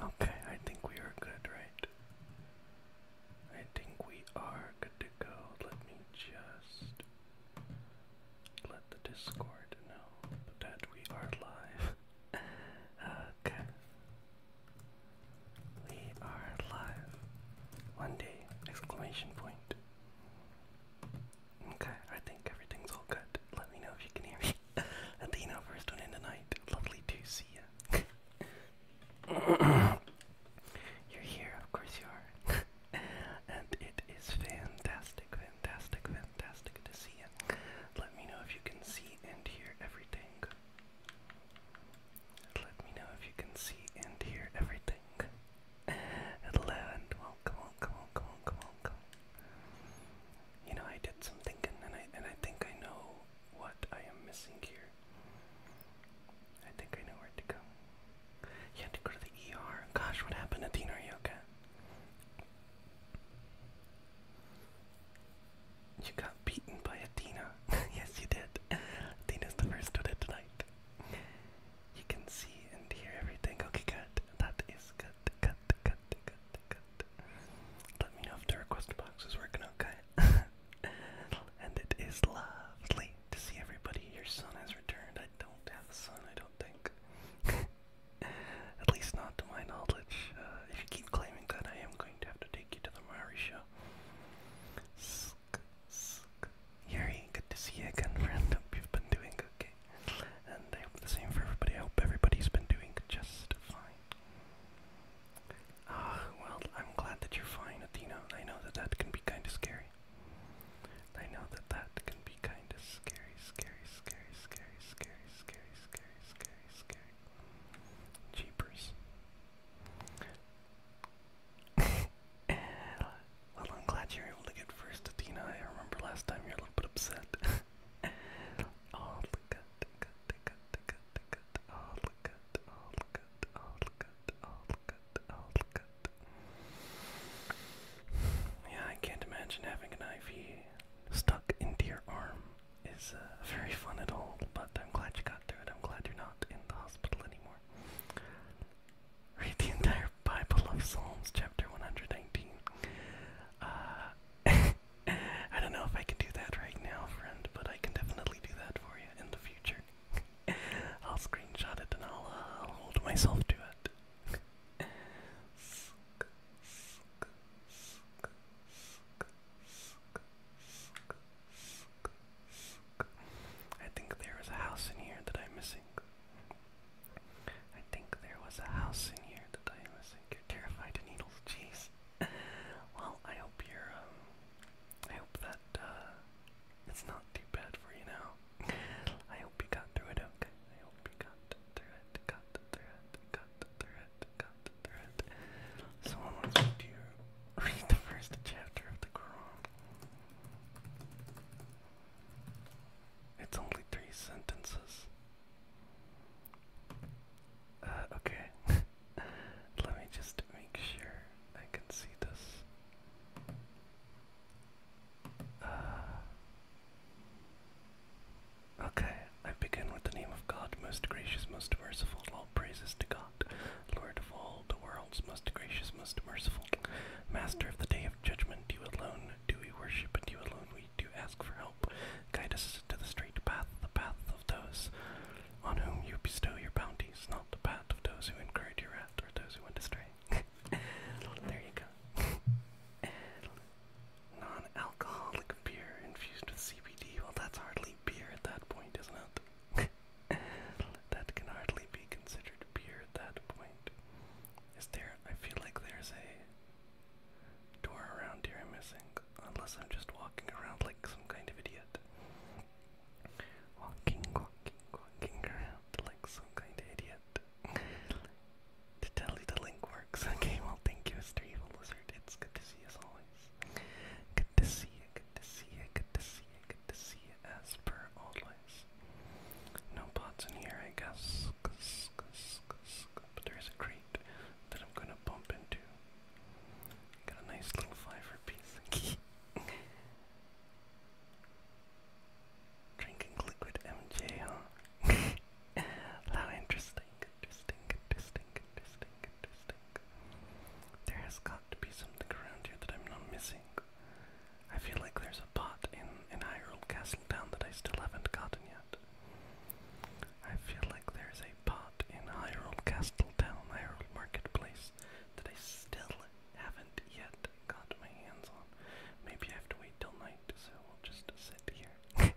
Okay, I think we are good, right? I think we are good to go. Let me just let the Discord know that we are live. okay. We are live. One day! Exclamation point. Okay, I think everything's all good. Let me know if you can hear me. Athena, first one in tonight. Lovely to see you. You're here, of course you are. and it is fantastic, fantastic, fantastic to see you. Let me know if you can see and hear everything. Let me know if you can see and hear everything. Hello and welcome, welcome, welcome, welcome, welcome. You know, I did some thinking, and I and I think I know what I am missing here. I think I know where to go. You had to go to the ER. Gosh, what happened, Athena? Are you You got beaten by Athena. yes, you did. Athena's the first to it tonight. You can see and hear everything. Okay, good. That is good. Good, good, let me know if the request box is working okay. and it is lovely to see everybody. Your son has returned. I don't have a son, I don't think. At least not to my knowledge. Uh, if you keep claiming that, I am going to have to take you to the Maori show. Sk, sk. Yuri, good to see again, friend. Hope you've been doing okay. And I hope the same for everybody. I hope everybody's been doing just fine. Ah, well, I'm glad that you're fine, Athena. I know that that can be kind of scary. I know that that can be kind of scary, scary, scary, scary, scary, scary, scary, scary, scary. Eh, well, I'm glad you're able to get first, Athena. I remember last time you were a little bit upset. oh, look at yeah, I can't imagine having an IV stuck into your arm is uh, very fun at all, but I'm glad you got through it. I'm glad you're not in the hospital anymore. Read the entire Bible of Psalms, chapter 119. Uh, I don't know if I can do that right now, friend, but I can definitely do that for you in the future. I'll screenshot it and uh, I'll, hold myself to it. I think there was a house in here that I'm missing. I think there was a house in here that I am missing. terrified of needles, jeez well, I hope you're, um, I hope that, uh, it's not too bad for you now. I hope you got through it okay. I hope you got through it, got through it, got through it, got through it. Someone wants me to read the first chapter of the Quran. It's only three sentences. Uh, okay. Let me just make sure I can see this. Uh, okay, I begin with the name of God, most gracious, most merciful, all praises to God, Lord of all the worlds, most gracious, most merciful, Master of the day of judgment, you alone do we worship, and you alone we to ask for help. Guide us to the straight path, the path of those on whom you bestow your bounties, not the path of those who encourage your wrath or those who went astray. there you go. Non-alcoholic beer infused with CBD. Well, that's hardly beer at that point, isn't that can hardly be considered beer at that point. Is there? I feel like there's a door around here I'm missing unless I'm just walking around like some kind of idiot. Walking, walking, walking around like some kind of idiot. to tell you the link works. Okay, well, thank you, Mr. Evil Lizard. It's good to see you as always. Good to see you, good to see you, good to see you, good to see you as per always. No pots in here, I guess. but there is a crate that I'm gonna bump into. Got a nice little fiver piece. Drinking liquid MJ, huh? How interesting, interesting, interesting, interesting, interesting. There has got to be something around here that I'm not missing. I feel like there's a pot in, high Hyrule Castle Town that I still haven't gotten yet. I feel like there's a pot in Hyrule Castle Town, Hyrule Marketplace, that I still haven't yet got my hands on. Maybe I have to wait till night, so we'll just sit here for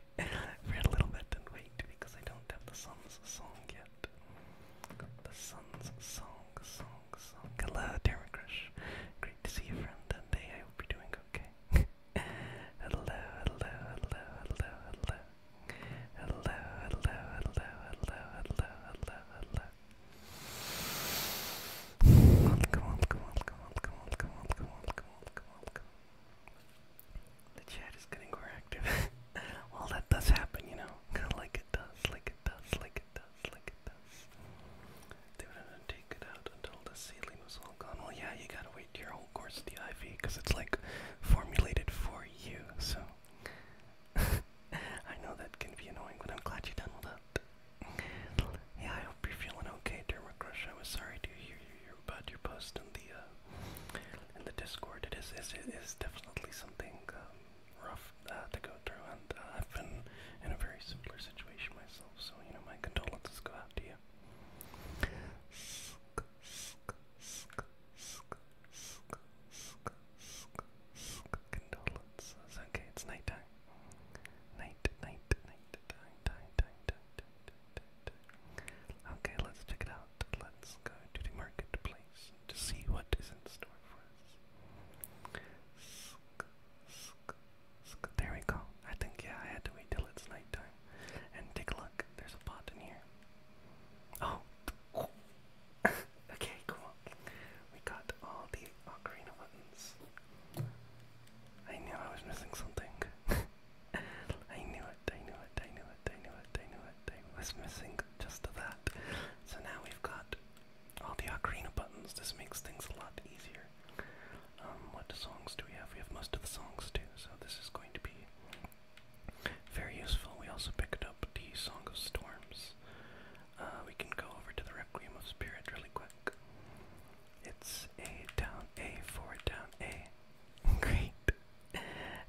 a little bit and wait because I don't have the sun's song yet. The sun's song, song, song. Hello, Crush. Great to see you, friend, and I hope you doing okay. hello, hello, hello, hello, hello hello, hello, hello, hello, hello, hello, hello. Welcome, welcome, welcome, welcome, welcome, welcome, welcome, welcome, welcome. The chat is getting more well, that does happen, you know. like it does, like it does, like it does, like it does. They wouldn't take it out until the ceiling was all gone. Well, yeah, you gotta wait your whole course of the IV because it's like formulated for you. So I know that can be annoying, but I'm glad you're done with that. yeah, I hope you're feeling okay, Dermacrush. I was sorry to hear about your post in the uh, in the Discord. It is is it is definitely something um, rough uh, to go through, and uh, I've been in a very similar situation myself. So you know, my condolences go out to you. Condolences. Okay, it's night time. Night, night, night, time, Okay, let's check it out. Let's go to the marketplace to see what is in store for us. There we go. I think yeah, I had to wait till it's nighttime and take a look. There's a pot in here. Oh. okay, cool. We got all the ocarina buttons. I knew I was missing something. I knew it, I knew it, I knew it, I knew it, I knew it. I was missing just that. So now we've got all the ocarina buttons. This makes things a lot easier. Um, what songs do we have? We have most of the songs too, so this is going to be very useful. We also picked up the Song of Storms. Uh, we can go over to the Requiem of Spirit really quick. It's a down A for down A. Great.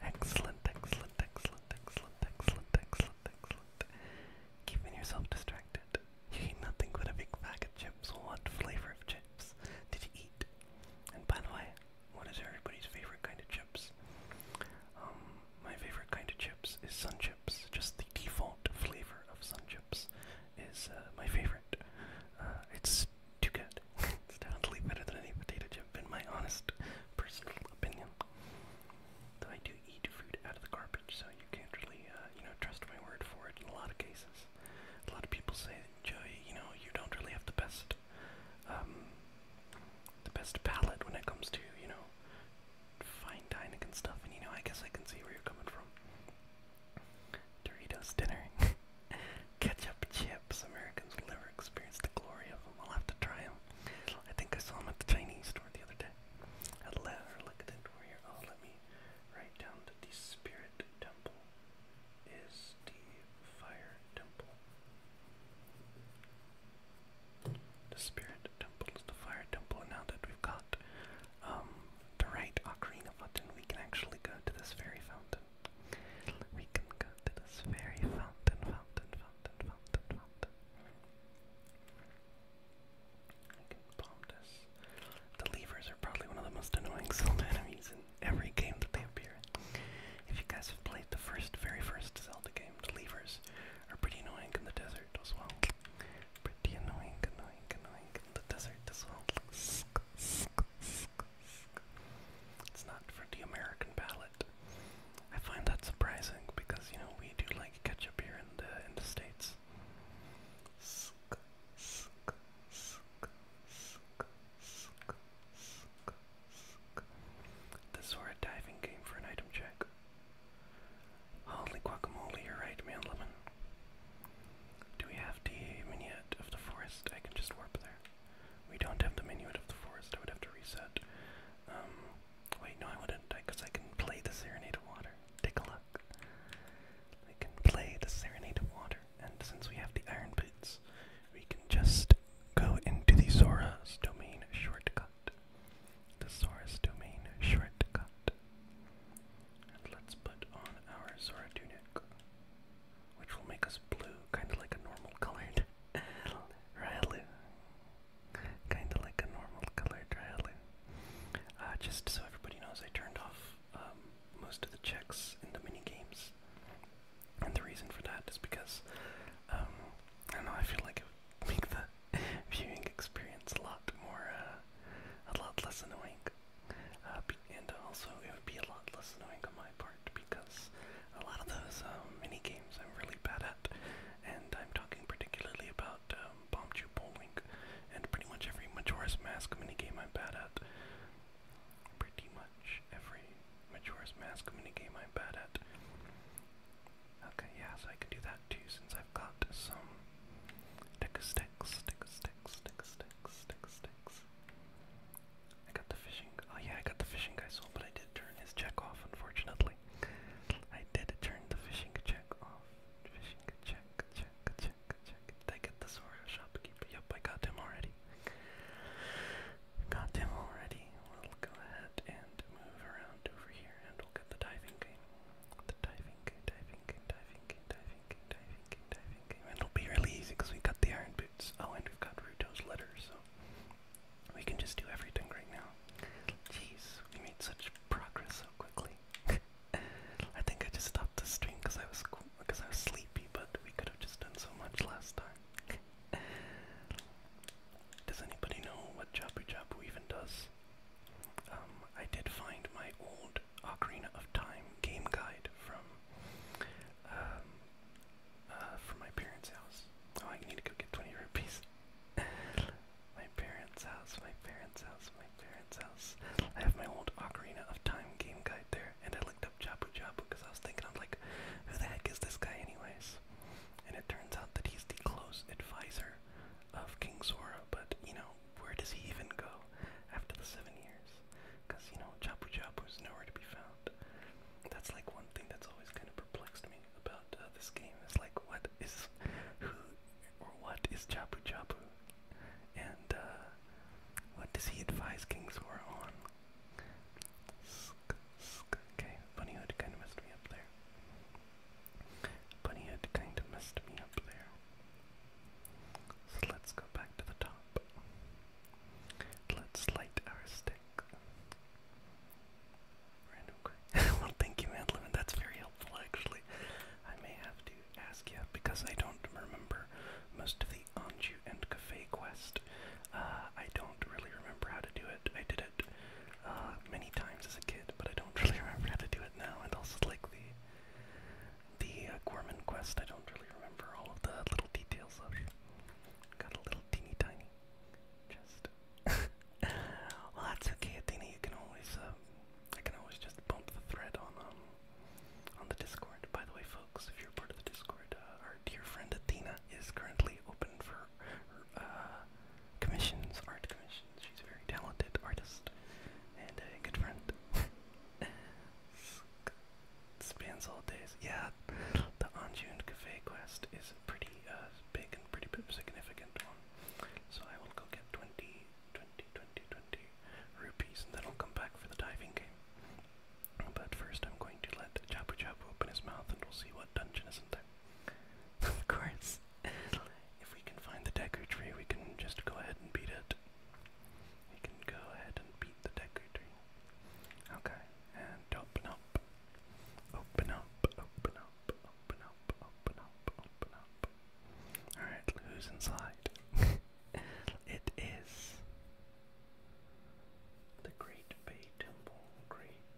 Excellent, excellent, excellent, excellent, excellent, excellent, excellent. Keeping yourself distracted. You ate nothing but a big bag of chips. What flavor of chips did you eat? And by the way, what is everybody's favorite kind of chips? Um, my favorite kind of chips is Sun Chips. Just the default flavor of Sun Chips is uh, my favorite. Uh, it's too good. it's definitely better than any potato chip, in my honest personal opinion. Though I do eat food out of the garbage, so you can't really, uh, you know, trust my word for it in a lot of cases. A lot of people say, Joey, you know, you don't really have the best um, the best palette when it comes to you know fine dining and stuff. And you know, I guess I can see where you're coming from. Doritos dinner, ketchup chips. Americans will never experience the glory of them. I'll have to try them. I think I saw them at the Chinese store the other day. let her look at it. Where oh, let me write down the Spirit Temple is the Fire Temple. The Spirit Temple is the Fire Temple, and now that we've got um, the right Ocarina button, we can actually go to this fairy fountain. We can go to this fairy fountain, fountain, fountain, fountain, fountain. I can bomb this. The levers are probably one of the most annoying Zelda enemies in every game that they appear If you guys have played the first, very first Zelda game, the levers are pretty annoying in the desert as well. Pretty annoying, annoying, annoying in the desert as well. It's not for the American palate. I find that surprising because you know we do like ketchup here in the in the states. This is a diving game for an item check. Holy guacamole, you're right, man Do we have the minuet of the forest? I can just warp there. We don't have the minuet of the forest. I would have to reset. Um, wait, no, I wouldn't, because I can play the serenade of water. Take a look. I can play the serenade of water, and since we have the iron boots, we can just go into the Zora's domain shortcut. The Zora's domain shortcut. And let's put on our Zora tunic, which will make us blue, kind of like a normal colored Ryloo. Kind of like a normal colored Ryloo. Uh, just so everybody knows, I turned off um, most of the checks in the mini games. And the reason for that is because, um, I don't know, I feel like it would make the viewing experience a lot more, uh, a lot less annoying. Uh, and also, it would be a lot less annoying on my part because a lot of those um, mini games I'm really bad at, and I'm talking particularly about um, Bomb Chew Bowling and pretty much every Majora's Mask minigame I'm bad at pretty much every Majora's Mask minigame I'm bad at. Okay, yeah, I can do that too since I've got some stick sticks, stick sticks, stick sticks, stick sticks. I got the fishing. Oh yeah, I got the fishing guy sold, but I did turn his check off, unfortunately. I did turn the fishing check off. Fishing check, check, check, check. Did I get the Sora shopkeeper? Yep, I got him already. We've got them already. We'll go ahead and move around over here and we'll get the diving game. The diving game, diving game, diving game, diving game, diving game, diving game. And it'll be really easy because we got the iron boots. Oh, and we've got Ruto's letter, so we can just do everything right now. Jeez, we made such progress so quickly. I think I just stopped the stream because I was because I was sleepy, but we could have just done so much last time does anybody know what Jabu Jabu even does? Um, I did find my old Ocarina of Time game guide from um, uh, from my parents' house. Oh, I need to go get 20 rupees. my parents' house, my parents' house, my parents' house. I have my old Ocarina of Time game guide there, and I looked up looked up because I was thinking, I'm like, who the heck is this guy, anyways? And it turns out that he's the close advisor of King Zora, but you know, where does he even go after the seven years? Because you know, Jabu Jabu is nowhere to be found. That's like one thing that's always kind of perplexed me about uh, this game is like, what is who or what is Jabu Jabu? And uh, what does he advise King Zora on? Okay, Bunny kind of messed me up there. Bunny kind of messed me up there. So let's go back to the top. Let's light our stick. well, thank you, Madlin. That's very helpful, actually. I may have to ask you because I don't remember most of Anju and Cafe quest. Uh, I don't really remember how to do it. I did it uh, many times as a kid, but I don't really remember how to do it now. And also like the the uh, Gorman quest, I don't really remember all of the little details of. Got a little teeny tiny chest. well, that's okay, Athena. You can always, I can always just bump the thread on um on the Discord. By the way, folks if you're part of the Discord, uh, our dear friend Athena is currently open for uh, commissions, art commissions. She's a very talented artist and a good friend. Spans all days. Yeah, the Anjun Cafe quest is a pretty uh, big and pretty significant one. So I will go get 20, 20, 20, 20 rupees and then I'll come back for the diving game. But first, I'm going to let Chapu Chapu open his mouth and we'll see what dungeon is in there. of course. if we can find the Deku Tree, we can just go ahead and beat it. We can go ahead and beat the Deku Tree. Okay, and open up. Open up, open up, open up, open up, open up. Alright, who's inside? it is the Great Bay Temple. Great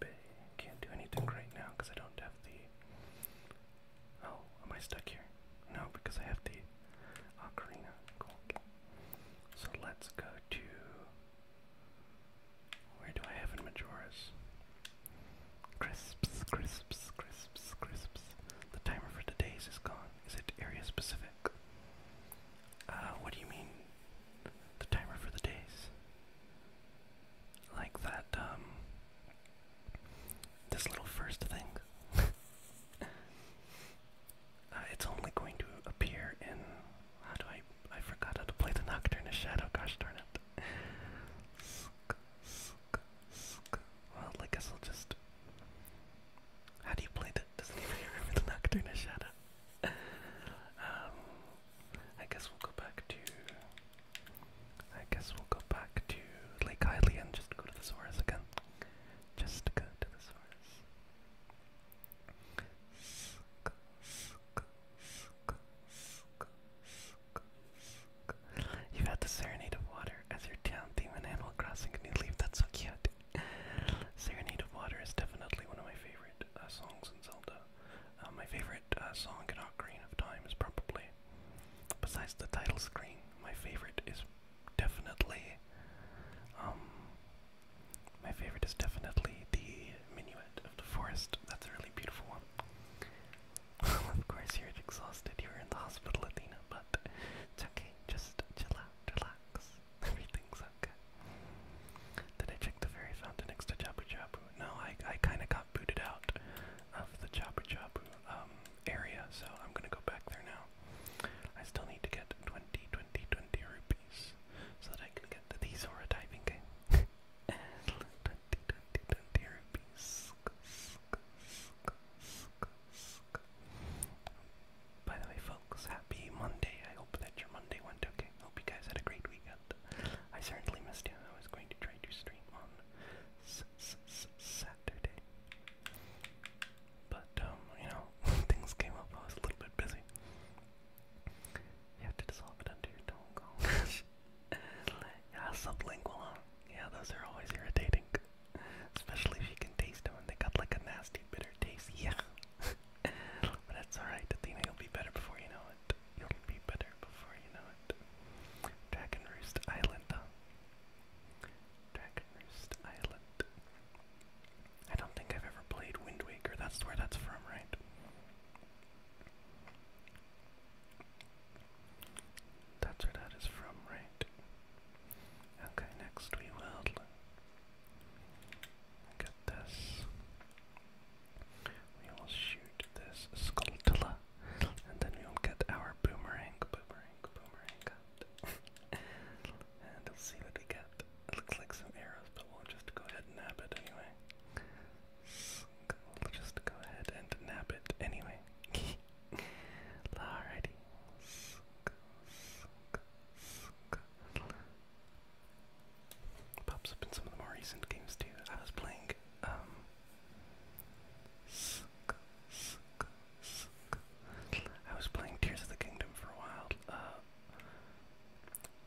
Bay. Can't do anything right now because I don't have the. Oh, am I stuck here? No, because I have the ocarina. Cool. So let's go to. Where do I have in Majora's? Crisps, crisps, crisps, crisps. The timer for the days is gone. Is it area specific? Uh, what do you mean the timer for the days. Like that, um, this little first thing. Uh, it's only going to appear in. How do I. I forgot how to play the Nocturne Shadow, gosh darn it. Well, I guess I'll just. How do you play that? Doesn't even remember the Nocturne Shadow um, I guess we'll go back to. I guess we'll go back to Lake Hylia and just go to the Saurus again. Just go to the Saurus. You've had the Serenade of Water as your town theme in Animal Crossing, and you leave. That's so cute. Serenade of Water is definitely one of my favorite uh, songs in Zelda. Uh, my favorite uh, song in Ocarina of Time is probably, besides the title screen, my favorite is definitely, um, my favorite is definitely the Minuet of the Forest. That's a really beautiful one. of course, you're exhausted. You're in the hospital, Athena, but it's okay. Just chill out, relax. Everything's okay. Did I check the fairy fountain next to Chapu Chapu? No, I, I kind of got booted out of the Chapu Chapu um, area, so I'm going to go back there now. I still need to get 20, 20, 20 rupees so that I can get to the Zora diving game. 20, rupees. By the way, folks, happy Monday. I hope that your Monday went okay. Hope you guys had a great weekend. I certainly missed you. I was going to try to stream on Saturday. But, um, you know, things came up. I was a little bit busy. You have to dissolve it under your tongue. yeah, sublingual, Yeah, those are always irritating. Especially if you can taste them they got like a nasty bitter taste. Yeah. but that's alright, Athena, you'll be better before you know it. You'll be better before you know it. Dragon Roost Island, huh? Dragon Roost Island. I don't think I've ever played Wind Waker, that's where that's from, right? That's where that is from, right? Okay, next we will Look at this. We will shoot this skulltula, and then we will get our boomerang, boomerang, boomerang and we'll see what we get. It looks like some arrows, but we'll just go ahead and nab it anyway. just go ahead and nab it anyway. Alrighty. Pops up in some of the more recent games too. I was playing um, I was playing Tears of the Kingdom for a while, uh,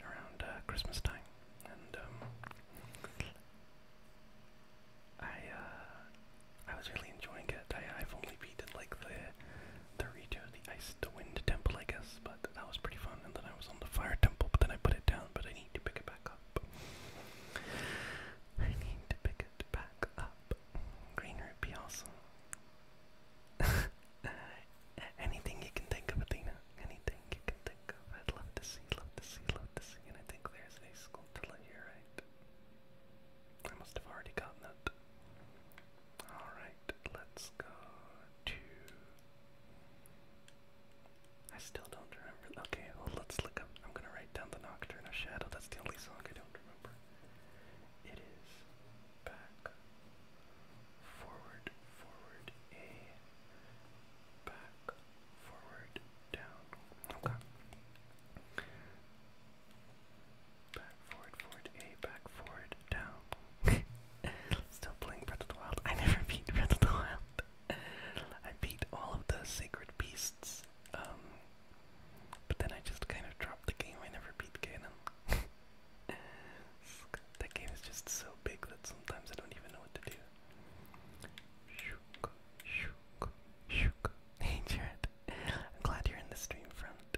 around uh, Christmas time. And um, I uh, I was really enjoying it. I've only beaten like the 32 of the ice, the wind temple, I guess, but that was pretty fun. And then I was on the fire temple, but then I put it down, but I need to pick it back up. I need to pick it back up. Greener would be Anything you can think of, Athena. Anything you can think of. I'd love to see, love to see, love to see. And I think there's a Skulltula here, right? I must have already gotten that. Alright, let's go to. I still don't remember. Okay, well, let's look up. I'm gonna write down the Nocturne Shadow. That's the only song I don't remember. It is back, forward, forward, A, back, forward, down. Okay. Back, forward, forward, A, back, forward, down. Still playing Breath of the Wild. I never beat Breath of the Wild. I beat all of the Sacred Beasts, um, but then I just kind of dropped the game. I never beat Ganon. that game is just so big that sometimes I don't even know what to do. Shook, shook, shook. Hey Jared, I'm glad you're in the stream front.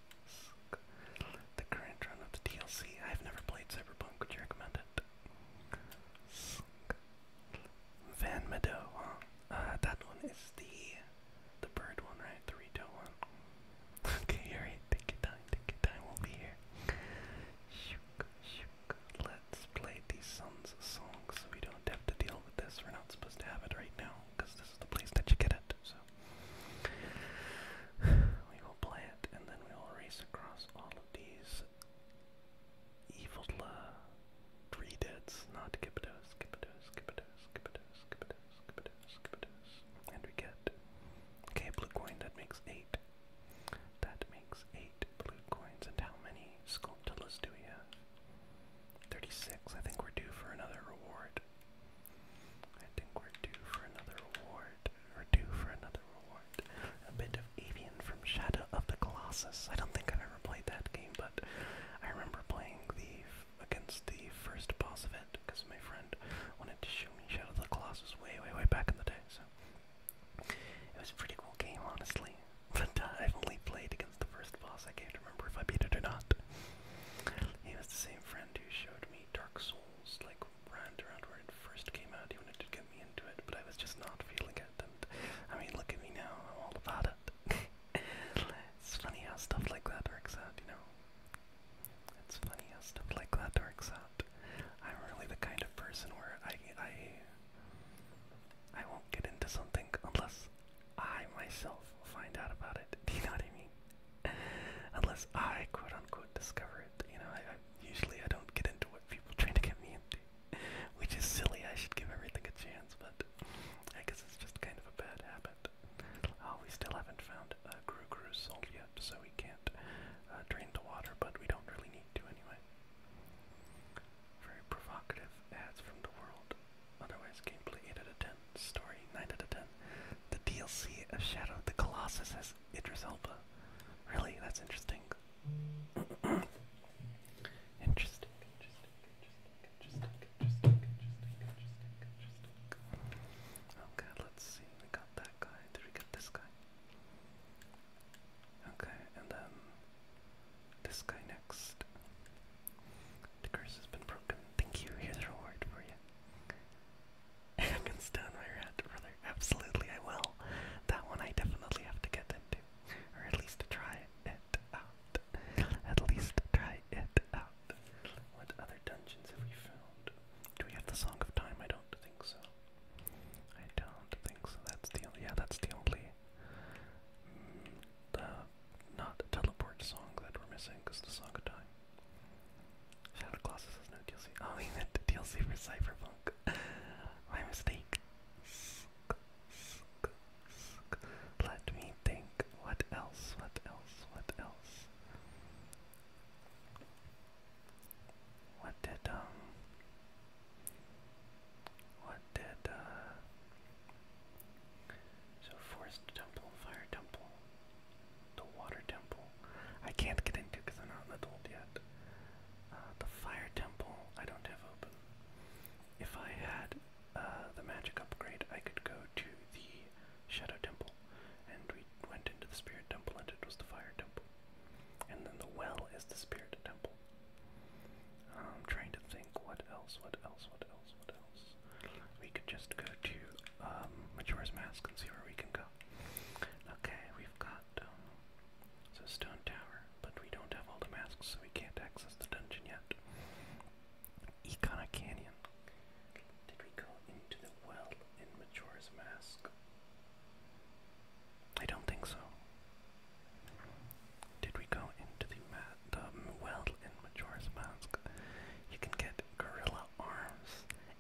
The current run of the DLC. I've never played Cyberpunk. Would you recommend it? Van Meadow, huh? Uh, that one is the the bird one, right? The Rito one. okay, alright. Take your time. Take time. We'll be here. Shook, shook. Let's play the Sun's so we don't have to deal with this. We're not supposed to have it right now because this is the place that you get it. So we will play and then we will race across all of these evil uh, deads, not Gibbidos, Gibbidos, Gibbidos, Gibbidos, Gibbidos, Gibbidos, Gibbidos. And we get, okay, blue coin, that makes eight. That makes eight blue coins. And how many sculptillas 36. I think we're due for another reward. I think we're due for another reward. We're due for another reward. A bit of Avian from Shadow of the Colossus. I don't think I've ever played that game, but I remember playing the against the first boss of it because my friend wanted to show me Shadow of the Colossus way, way, way back in the day. So it was a pretty cool game, honestly. But uh, I've only played against the first boss. I can't remember if I beat it or not. He was the same friend who showed me Dark Souls like brand around where it first came out. He to get me into it, but I was just not feeling it. And I mean, look at me now. I'm all about it. it's funny how stuff like that works out, you know. It's funny how stuff like that works out. I'm really the kind of person where I I I won't get into something unless I myself find out about it. Do you know what I mean? Unless I quote unquote discover it. You know, I, usually I don't get into what people try to get me into. Which is silly, I should give everything a chance, but I guess it's just kind of a bad habit. Oh, we still haven't found a Gru Gru soul yet, so we can't uh, drain the water, but we don't really need to anyway. Very provocative ads from the world. Otherwise, gameplay 8 out of 10, story 9 out of 10. The DLC of Shadow of the Colossus has Idris Elba. Really? That's interesting. interesting. Okay, oh, let's see. We got that guy. Did we get this guy? Okay, and then this guy next. The curse has been broken. Thank you. Here's a reward for you. I can stun Absolutely, I will. That one I definitely have to get into, or at least try it out. At least try it out. What other dungeons have we found? Do we have the Song of Time? I don't think so. I don't think so. That's the only. Yeah, that's the only. Mm, uh, not teleport song that we're missing because the Song of Time. Shadow Colossus has no DLC. Oh, he meant the DLC for Cyberpunk. My mistake. Let me think. What else? What else? What else? What did, um. What did, uh. So, Forest Temple, Fire Temple the water temple. I can't get into because I'm not an adult yet. Uh, the fire temple I don't have open. If I had uh, the magic upgrade, I could go to the shadow temple, and we went into the spirit temple, and it was the fire temple. And then the well is the spirit temple. I'm trying to think what else, what else, what else, what else. We could just go to um, Mature's Mask and see where we can go. Okay, we've got um, so stone tower, but we don't have all the masks, so we can't access the dungeon yet. Econa Canyon. Did we go into the well in Majora's Mask? I don't think so. Did we go into the well in Majora's Mask? You can get gorilla arms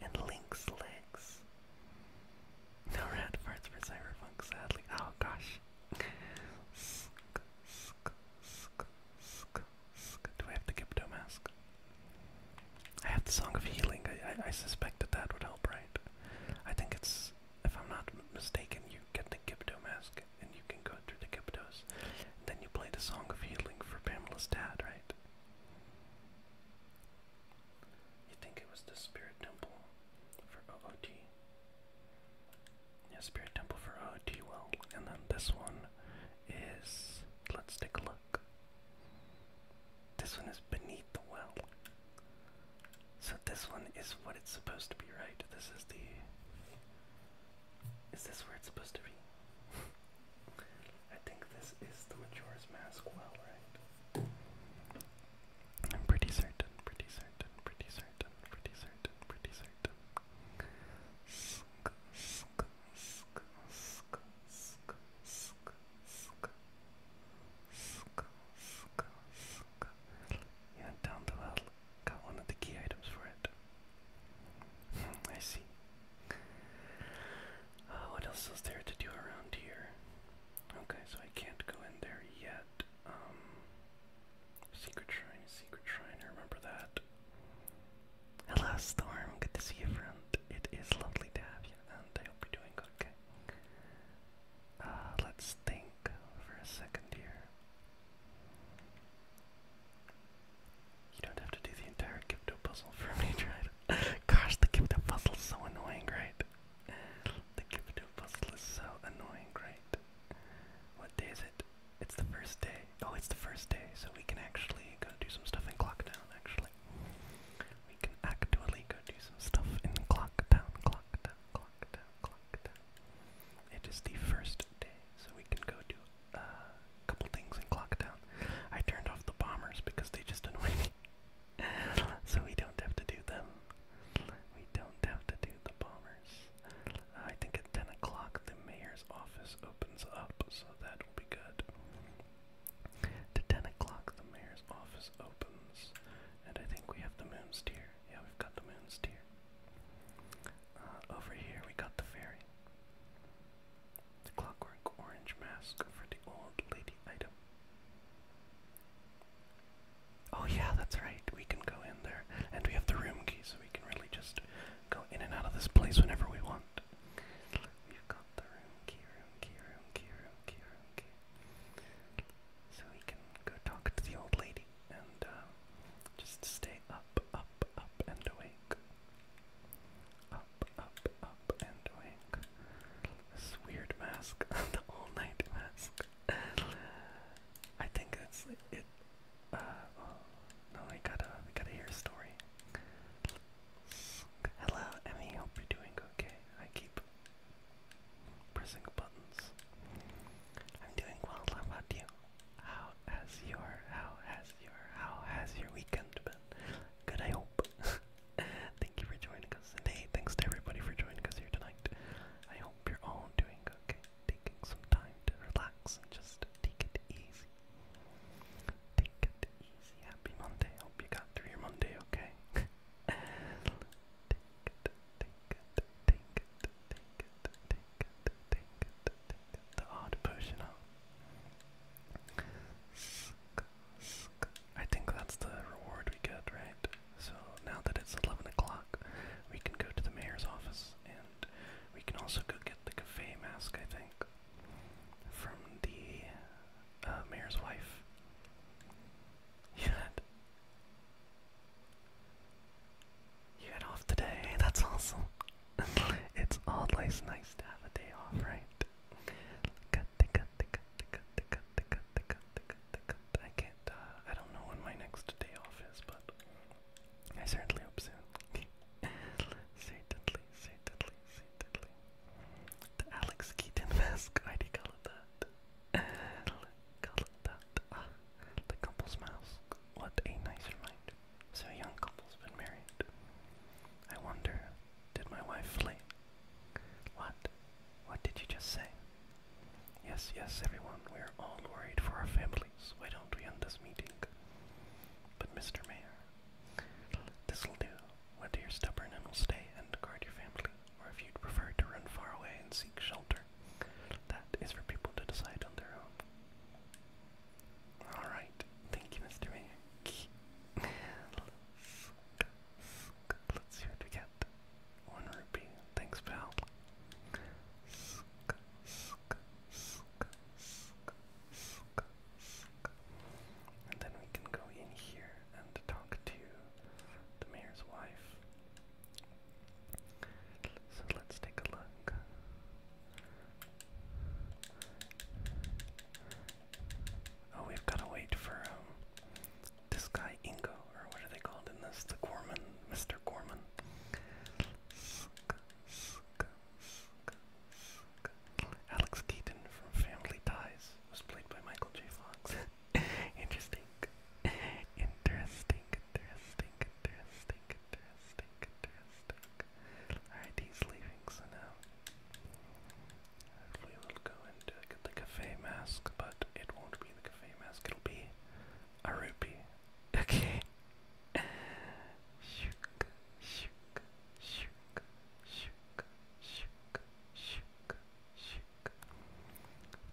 and Link's legs. No red parts for Cyberpunk, sadly. Oh gosh. Do I have to give Mask? I have the Song of Healing. I, I, I suspected that would help, right? I think it's, if I'm not mistaken, you get the Gibdo Mask and you can go through the Gibdos. Then you play the Song of Healing for Pamela's dad, right? You think it was the Spirit Temple for OOT? Yeah, Spirit Temple for OOT, well, and then this one is. Let's take a look. This one is beneath the well. So this one is what it's supposed to be, right? This is the. Is this where it's supposed to be? I think this is the Majora's Mask well, right? I'm pretty certain, pretty certain, pretty certain, pretty certain, pretty certain. Sk, sk, sk, sk, sk, sk, sk. Sk, sk, sk. Yeah, down the well. Got one of the key items for it. Hmm, I see. Uh, what else is there to do around here? Okay, so I can't go in there yet. Um, secret shrine, secret shrine, remember that. Hello, Storm. Good to see you, friend. It is lovely to have you, and I hope you're doing okay. Uh, let's think for a second here. You don't have to do the entire Gipto puzzle for me to Gosh, the gift of puzzle is so annoying, right? The gift of puzzle is so annoying, right? What it? It's the first day. Oh, it's the first day, so we can actually go do some stuff in Clockdown, actually. We can actually go do some stuff in Clockdown, Clockdown, Clockdown, Clockdown. It is the first day, so we can go do a couple things in Clockdown. I turned off the bombers because they just annoy me. so we don't have to do them. We don't have to do the bombers. I think at 10 o'clock the mayor's office opens up, so that will be good. At 10 o'clock the mayor's office opens, and I think we have the moon's here. Yeah, we've got the moon's here. Uh, over here we got the ferry. The clockwork orange mask for the old lady item. Oh yeah, that's right. We can go in there, and we have the room key, so we can really just go in and out of this place whenever we want. We've got the room key, room key, room key, room key, room key. So we can go talk to the old lady and uh, just stay up, up, up, and awake. Oh, up, up, up, and awake. This weird mask, the all-night mask. I think it's it. Uh, well, oh, no, I gotta, I gotta hear a story. Hello, Emmy. Hope you're doing okay. I keep pressing buttons. I'm doing well. How about you? How has your, how has your, how has your weekend been? Good, I hope. Thank you for joining us. And thanks to everybody for joining us here tonight. I hope you're all doing okay. Taking some time to relax and just take it easy. Take it easy. Happy Monday. Hope you got through your Monday okay. take it, take it, take it, take it, take it, take it, take it. The odd potion up. I think that's the reward we get, right? So now that it's 11 o'clock, we can go to the mayor's office and we can also go get the cafe mask, I think, from the uh, mayor's wife. You had. You had off today, that's awesome. it's always nice to have a day off, right? Cutte, cutte, cutte, cutte, cutte, cutte, cutte, cutte, cutte. I can't, uh, I don't know when my next day off is, but I certainly hope soon. certainly, certainly, certainly. The Alex Keaton mask, why do call it that? Ah, the couple's mask. What a nice reminder. So young couple's been married. I wonder, did my wife flake? What? What did you just say? Yes, yes, everyone, we are all worried for our families. Why don't we end this meeting? But, Mr. Mayor, this'll do. Whether you're stubborn and will stay and guard your family, or if you'd prefer to run far away and seek shelter, that is for people to decide on their own. Alright, thank you, Mr. Mayor. Let's see what we get. One rupee. Thanks, pal. And then we can go in here and talk to the mayor's wife. So let's take a look. Oh, we've got to wait for um, this guy Ingo, or what are they called in this? The Gorman, Mr. Gorman. Alex Keaton from Family Ties was played by Michael J. Fox. interesting. Interesting, interesting, interesting, interesting, interesting. Alright, he's leaving, so now we will go and uh, the cafe mask, but it won't be the cafe mask, it'll be a rupee. Okay. shook, shook, shook, shook, shook, shook, shook.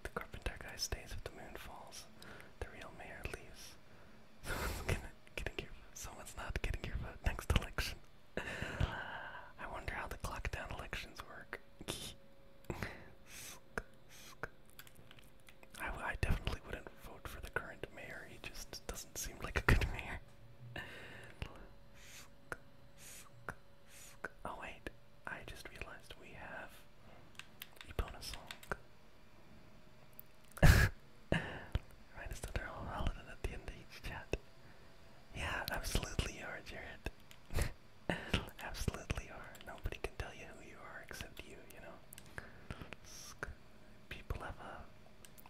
The carpenter guy stays if the moon falls. The real mayor leaves. Someone's gonna getting your someone's not getting your vote next election. I wonder how the clock down elections work. I, I definitely wouldn't vote for the current mayor. He just doesn't seem like a good mayor. Oh wait, I just realized we have a bonus song. Right, is that our holiday at the end of each chat? Yeah, absolutely you are, Jared. absolutely are. Nobody can tell you who you are except you, you know. People have a, uh,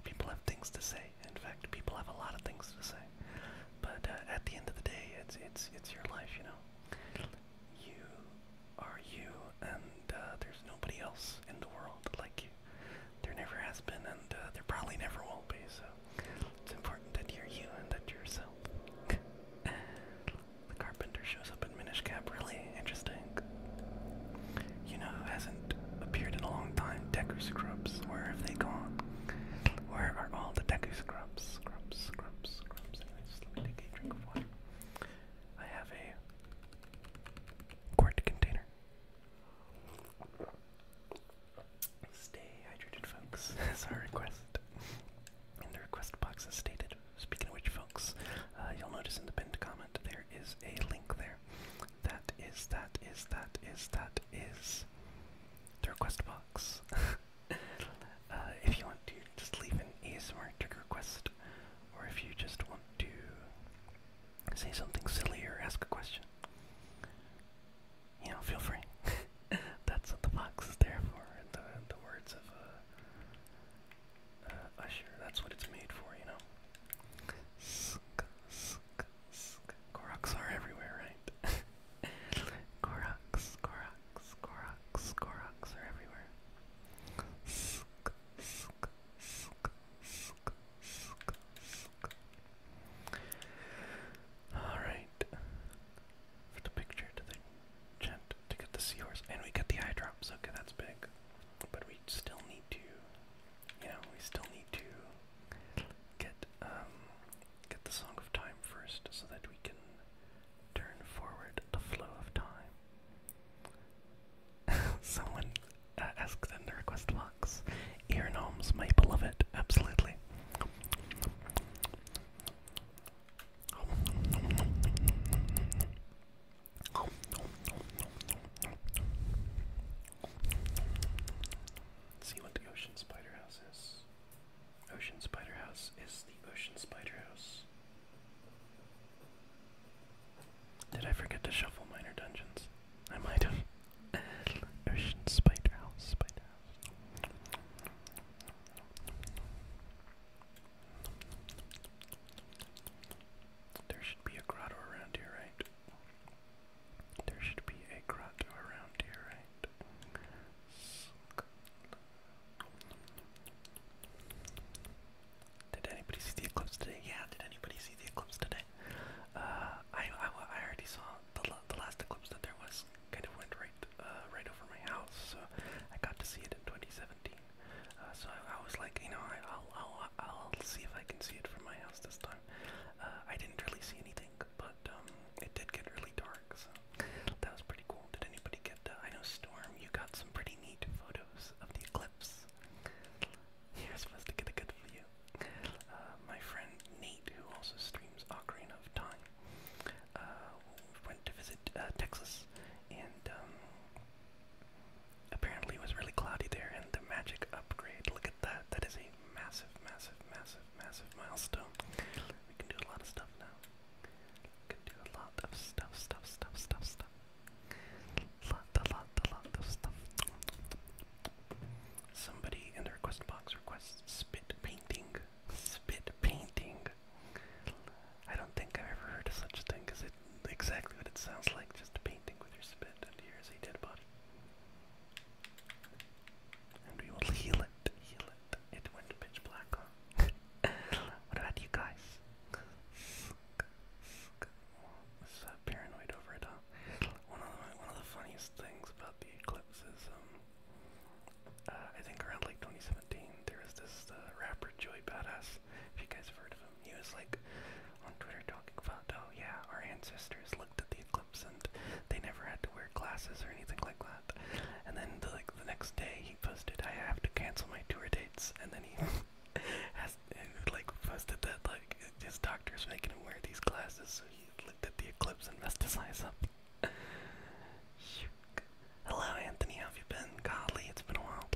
people have things to say. In fact, people have a lot of things to say. But uh, at the end of the day, it's it's it's your life, you know. You are you, and uh, there's nobody else in the world like you. There never has been, and uh, there probably never will be, so it's important that you're you and that you're yourself. the carpenter shows up in Minish Cap, really interesting. You know who hasn't appeared in a long time? Deku Scrubs. Where have they gone? Where are all the Deku Scrubs? Scrubs, Scrubs, Scrubs. Anyway, just let me take a drink of water. I have a quart container. Stay hydrated, folks. That's our request. In the request box is stated. Speaking of which, folks, uh, you'll notice in the pinned comment there is a link there. That is, that is, that is, that is the request box. Uh, if you want to just leave an ASMR trigger request, or if you just want to say something silly or ask a question, you know, feel free. That's what the box is there for. The, the words of uh, uh, Usher. That's what it's made for, you know. Sk, sk, sk. Koroks are everywhere, right? Koroks, Koroks, Koroks, Koroks are everywhere. Sk, sk, sk, sk, Alright. For the picture to the gent the seahorse. And we got the eye Okay, that's big. But we still need to you know, we still need to get um get the song of time first so that we can turn forward the flow of time. Someone asked them to request live box. Ear gnomes, my beloved, absolutely. see what the ocean spider house is. Ocean spider house is the ocean spider house. Did I forget to shuffle minor dungeons? I might have. There should be a grotto around here, right? There should be a grotto around here, right? Did anybody see the eclipse today? Yeah, did anybody see the eclipse today? Uh, I, I I already saw the the last eclipse that there was kind of went right uh, right over my house, so I got to see it in 2017. Uh, so I, was like, you know, I, will I'll I'll see if I can see it from my house this time. I didn't really see anything, but um, it did get really dark, so that was pretty cool. Did anybody get? Uh, I know Storm, you got some pretty neat photos of the eclipse. You're supposed to get a good view. Uh, my friend Nate, who also streams Ocarina of Time, uh, went to visit uh, Texas, and um, apparently it was really cloudy there, and the magic upgrade, look at that, that is a massive, massive, massive, massive milestone. We can do a lot of stuff now. We can do a lot of stuff, stuff, stuff, stuff, stuff. Lot, a lot, a lot of stuff. Somebody in the request box requests spit painting. Spit painting. I don't think I've ever heard such a thing because it's exactly what it sounds like, just a painting with your spit, and here's a dead body. And we will heal it, heal it. It went pitch black, what about you guys? paranoid over it, huh? one of the, one of the funniest things about the eclipse is um uh, I think around like 2017 there was this uh, rapper Joey Badass. If you guys have heard of him, he was like on Twitter talking about oh yeah our ancestors looked at the eclipse and they never had to wear glasses or anything like that. And then the, like the next day he posted I have to cancel my tour dates and then he has and, like posted that like his doctor's making him wear these glasses so looked at the Hello, Anthony. have you been? Golly, it's been a while.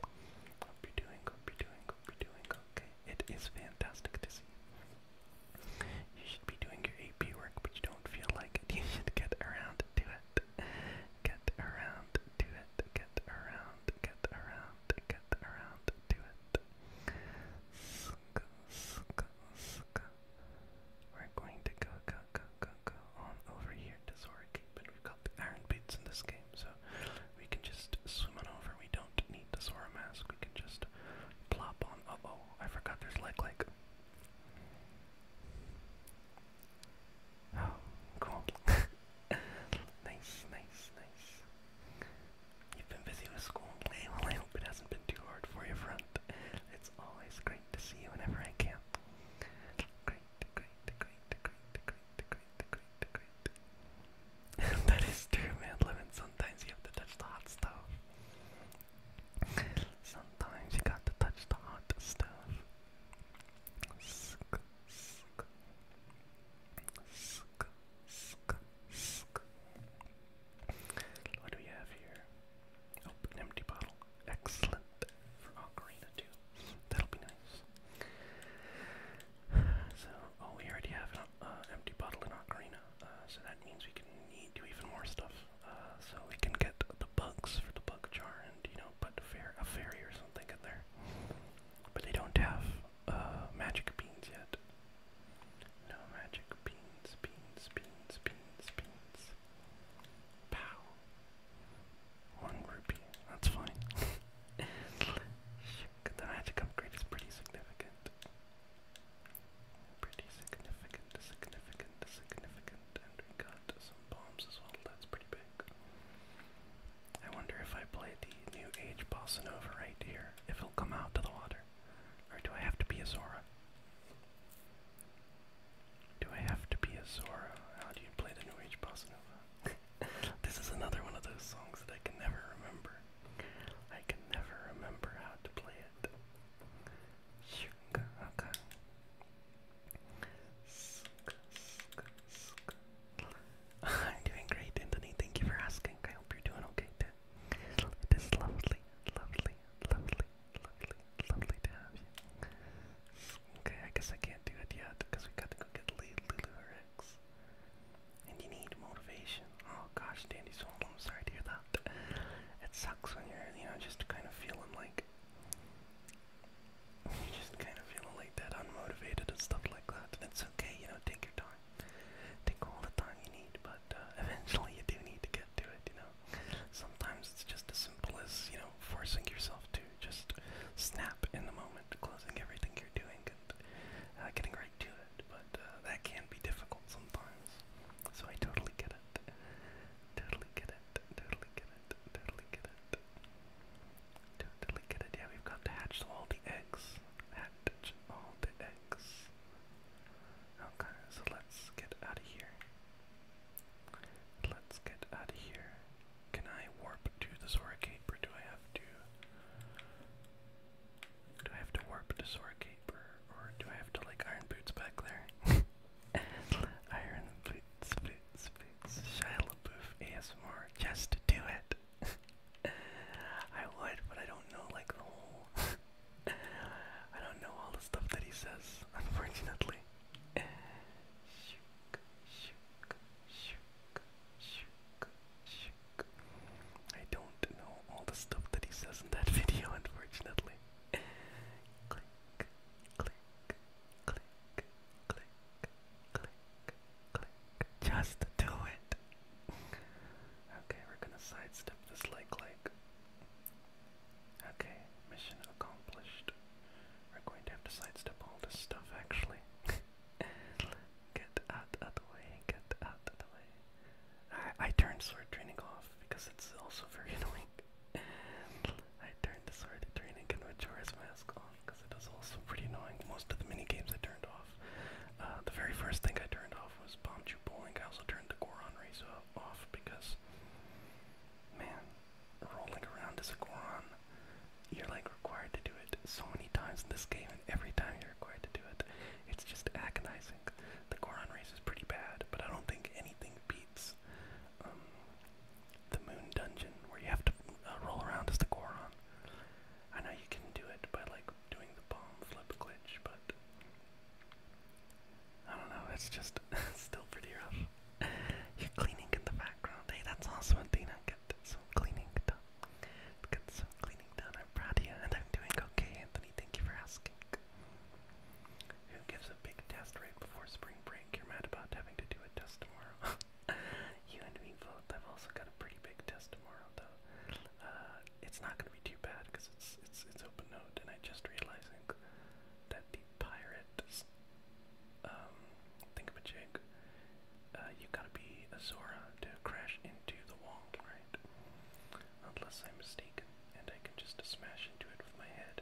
Hope you're doing, hope you're doing, hope you doing okay. It is fantastic to see you. You should be doing your AP work, but you don't feel like You should get around to it. Get around to it. Get around, get around, get around to it. Suka, suka, suka, we're going to go, go, go, go, go on over here to Zora Cape, and we've got the iron boots in this game, so we can just swim on over. We don't need to wear a mask. We can just plop on. oh, I forgot there's like, like. Oh, cool. nice, nice, nice. You've been busy with school. Well, I hope it hasn't been too hard for you, friend. It's always great to see you whenever I can. that is true, man. Lemon, sometimes you have to touch the hot stuff. Sometimes you got to touch the hot stuff. What do we have here? Oh, an empty bottle. Excellent for Ocarina too. That'll be nice. So, oh, we already have an uh, empty bottle in Ocarina, uh, so that means we can need to even more stuff. Uh, so we can get the bugs for the bug jar, and you know, put a, fairy or something in there. But they don't have magic beans yet. No magic beans, beans, beans, beans, beans. Pow. One rupee. That's fine. the magic upgrade is pretty significant. Pretty significant, significant, significant. And we got some bombs as well. That's pretty big. I wonder if I play the new age bossa nova right here, if it'll come out to the water. Or do I have to be a Zora? Do I have to be a Zora? How do you play the New Age Bossa Nova? this is another one of those songs that I can never remember. I can never remember how to play it. I'm doing great, Anthony. Thank you for asking. I hope you're doing okay it is lovely, lovely, lovely, lovely, lovely to have you. Okay, I guess I can't do it yet because we got to go get Lulu Rex. And you need motivation. Oh gosh, Dandy's home. I'm sorry to hear that. It sucks when you're, you know, just kind of feeling like. just kind of feeling like that, unmotivated and stuff like that. it's okay, you know, take your time. Take all the time you need, but uh, eventually you do need to get to it, you know. Sometimes it's just as simple as, you know, forcing yourself to just snap in the moment, closing everything you're doing and uh, getting right to it. But uh, that can be difficult sometimes. So I totally get it. Totally get it. Totally get it. Totally get it. Totally get it. Yeah, we've got to hatch all the eggs. Hatch all the eggs. Okay, so let's get out of here. Let's get out of here. Can I warp to the Zora do I have to Do I have to warp to Zora or, do I have to like iron boots back there? iron boots, boots, boots, Shia LaBeouf ASMR, just do it. I would, but I don't know like the whole I don't know all the stuff that he says, unfortunately. Shook, shook, shook, shook, shook. I don't know all the stuff that he says in that video, unfortunately. click, click, click, click, click, click. Just do it. okay, we're gonna sidestep this like like Okay, mission accomplished. We're going to have to sidestep all this stuff actually. get out of the way, get out of the way. I, I turned sword training off because it's also very annoying. I turned the sword training and Majora's Mask on because it is also pretty annoying. Most of the mini games I turned off. Uh, the very first thing I turned off was Bomb Bowling. I also turned the Goron Race off because, man, rolling around as a Goron, you're like required to do it so many times in this game, and every time you're required to do it, it's just agonizing. The Goron race is pretty bad, but I don't think anything beats um, the Moon Dungeon, where you have to uh, roll around as the Goron. I know you can do it by like doing the bomb flip glitch, but I don't know, it's just still pretty rough. You're cleaning in the background. Hey, that's awesome, Athena. Get some cleaning done. Get some cleaning done. I'm proud of you, and I'm doing okay, Anthony. Thank you for asking. Who gives a big test right before spring break? You're mad about having to do a test tomorrow. you and me both. I've also got a pretty big test tomorrow, though. Uh, it's not going to be too bad because it's it's it's open note, and I just realizing that the pirate, um, think of a jig. Uh, you gotta be a to crash into the wall, right? Unless I'm mistaken, and I can just smash into it with my head.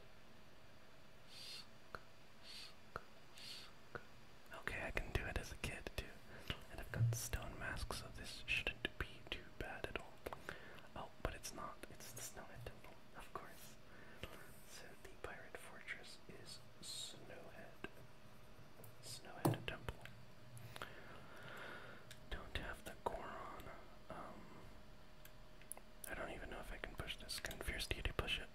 Okay, I can do it as a kid too. And I've got stone masks, so this shouldn't be too bad at all. Oh, but it's not. It's the Snowhead Temple, of course. So the pirate fortress is Snowhead. Snowhead Temple. Don't have the Goron. Um, I don't even know if I can push this. Can Fierce push it?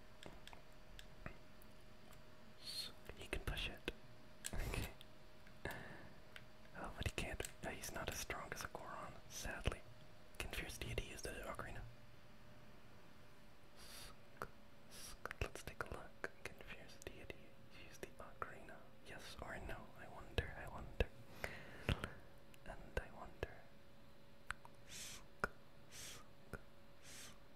he can push it. Okay. Oh, but he can't. he's not as strong as a Goron, sadly. Can Deity use the Ocarina? Sk, sk. Let's take a look. Can Deity use the Ocarina? Yes or no? I wonder, I wonder. And I wonder. Sk, sk, sk, sk.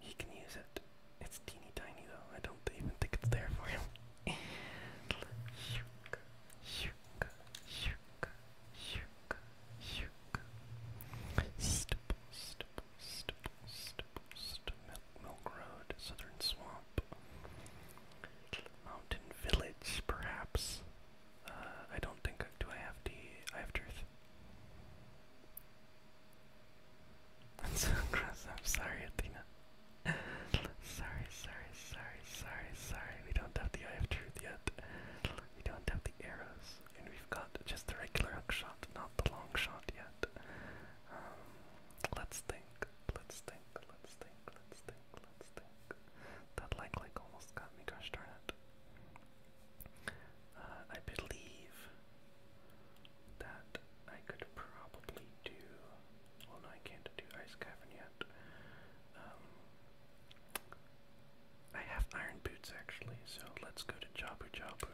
He can use it. It's teeny tiny though. I don't even think it's there for him. And shook, shook, shook, shook, shook. Stipple, stipple, stipple, stipple, Milk, milk Road, Southern Swamp. Mountain Village, perhaps. Uh, I don't think. Do I have the. I have truth. I'm so gross. I'm sorry, Athena. sorry, sorry, sorry, sorry, sorry. We don't have the eye of truth yet. We don't have the arrows, and we've got just the regular shot, not the long shot yet. Um, let's think. Let's think. Let's think. Let's think. Let's think. That like like almost got me. Gosh darn Uh, I believe that I could probably do. Well, no, I can't do Ice Cavern yet. Um, I have Iron Boots actually, so let's go to Jabu Jabu.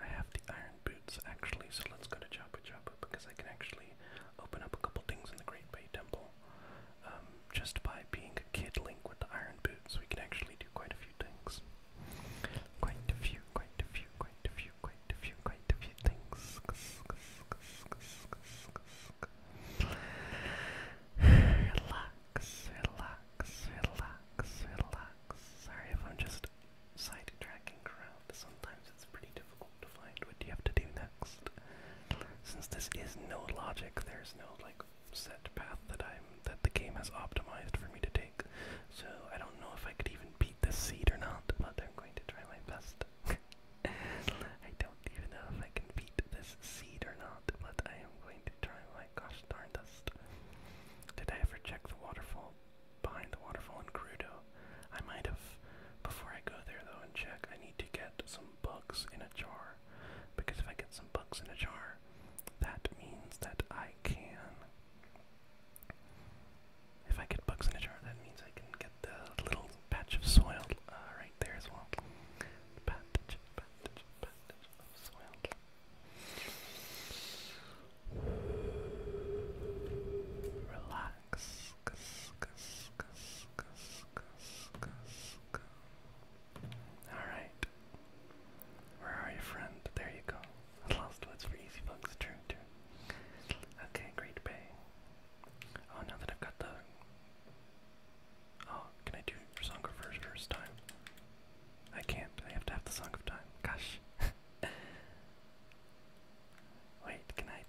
I have the Iron Boots actually, so let's go to Jabu Jabu because I can actually open up a couple things in the Great Bay Temple. Um, just by being a kid link with the Iron Boots, we can actually do quite a few things. Quite a few, quite a few, quite a few, quite a few, quite a few things. relax, relax, relax, relax. Sorry if I'm just sidetracking around. Sometimes it's pretty difficult to find what you have to do next. Since this is no logic, there's no like set path that I'm that the game has optimized for me to take. So I don't know if I could even even beat the seed or not, but I'm going to try my best. I don't even know if I can beat this seed or not, but I am going to try my gosh darn dust. Did I ever check the waterfall behind the waterfall in Crudo? I might have. Before I go there though and check, I need to get some bugs in a jar. Because if I get some bugs in a jar, that means that I can if I get bugs in a jar, that means I can get the little patch of soil uh, right there as well. Relax. Alright. Where are you, friend? There you go. Lost Woods for Easy Bucks, true, true. Okay, Great Bay. Oh, now that I've got the... Oh, can I do Song of first Time? I can't, I have to have the Song of Time. Gosh. Wait, can I...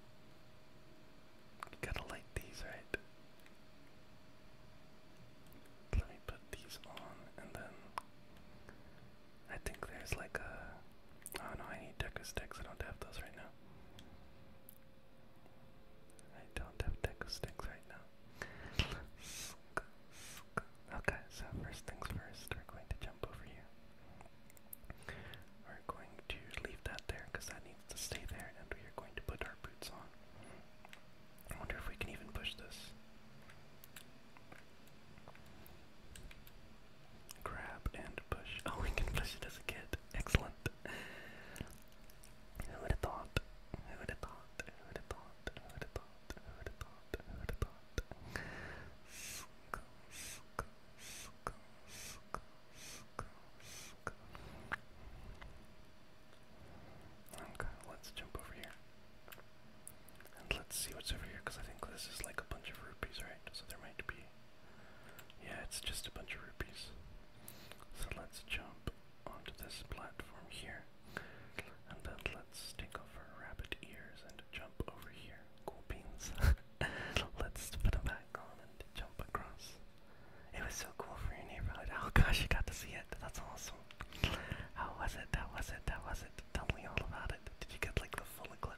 Gotta light these, right? Let me put these on, and then I think there's like a. Oh no, I need deck of sticks. I don't have those right now. I don't have deck of sticks right now. Okay, so first things first, we're going to jump over here. We're going to leave that there because that needs to stay there, and we are going to put our boots on. I wonder if we can even push this. Grab and push. Oh, we can push it as a kid. Excellent. Who would have Who would have Who would have Who would have Who would have Who would have Okay, let's jump over here. And let's see what's over here, because I think this is like a bunch of rupees, right? So there might be yeah, it's just a bunch of rupees. So let's jump onto this platform here. And then let's take off our rabbit ears and jump over here. Cool beans. let's put them back on and jump across. It was so cool for your neighborhood. Oh gosh, you got to see it. That's awesome. How was it? That was it? That was it? Tell me all about it. Did you get like the full eclipse?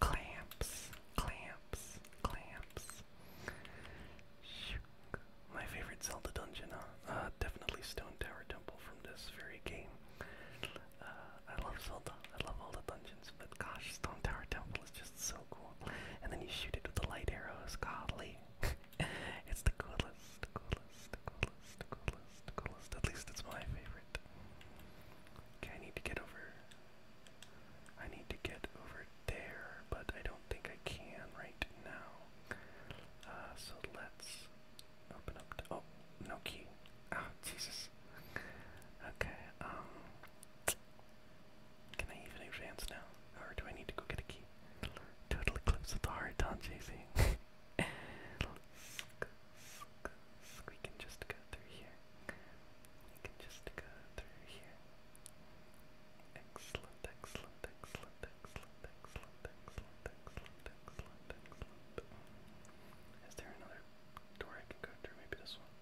Clamps, clamps, clamps. Shook. My favorite Zelda dungeon, huh? Uh, definitely Stone Tower Temple from this very game. Uh, I love Zelda. I love all the dungeons, but gosh, Stone Tower Temple is just so cool. And then you shoot it with the light arrows. Godly. it's the coolest, the coolest, the coolest, the coolest, the coolest. At least it's my favorite. Okay, I need to get over I need to get over there, but I don't think I can right now. Uh, so let's open up. Oh, no key. Oh, Jesus. Okay, um, Can I even advance now? Or do I need to go get a key? Total eclipse of the heart, Don JC. We can just go through here. We can just go through here. Excellent, excellent, excellent, excellent, excellent, excellent, excellent, excellent, excellent. Is there another door I can go through? Maybe this one.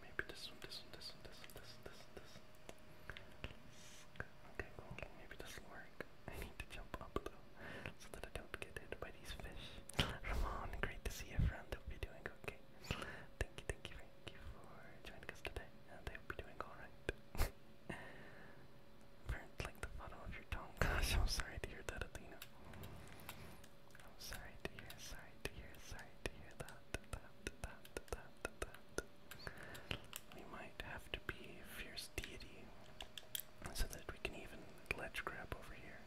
Maybe this one, this one, this one, this one, this one, this one, this one. Okay, cool. Maybe this will work. I need to jump up though, so that I don't get hit by these fish. Ramon, great to see you, friend. Hope you're doing okay. Thank you, thank you, thank you for joining us today, I hope you're doing alright. Burnt like the bottom of your tongue. Gosh, I'm sorry to hear that, Athena. I'm sorry to hear, sorry to hear, sorry to hear that, that, that, that, that, that. We might have to be fierce deity so that we can even ledge grab over here.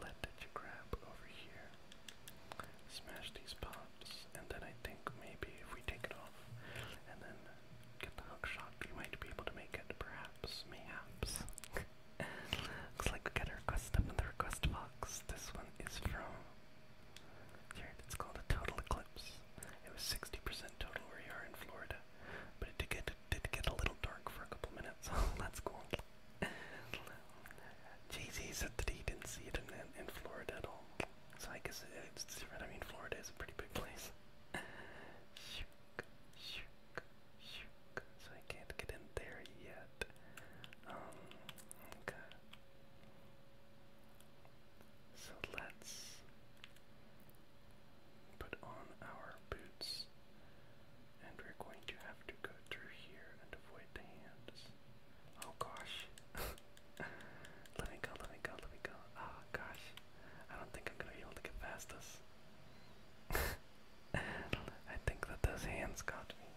Let that you grab over here. Smash these pops, and then I think maybe if we take it off and then get the hook shot, we might be able to make it, perhaps, mayhaps. Looks like we got a request up in the request box. This one is from. Here, it's called a total eclipse. It was 60% total where you are in Florida, but it did get, did get a little dark for a couple minutes. that's cool. Jay-Z's said that he didn't see it in, in Florida at all. So I guess uh, it's different. I mean, Florida is a pretty big place. Shook, shook, shook. So I can't get in there yet. Um, okay. So let's put on our boots. And we're going to have to go through here and avoid the hands. Oh gosh. let me go, let me go, let me go. Oh gosh. I don't think I'm gonna be able to get past this. I think that those hands got me.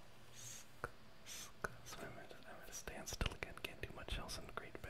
So i I'm gonna stand still again, can't do much else in Great Bay.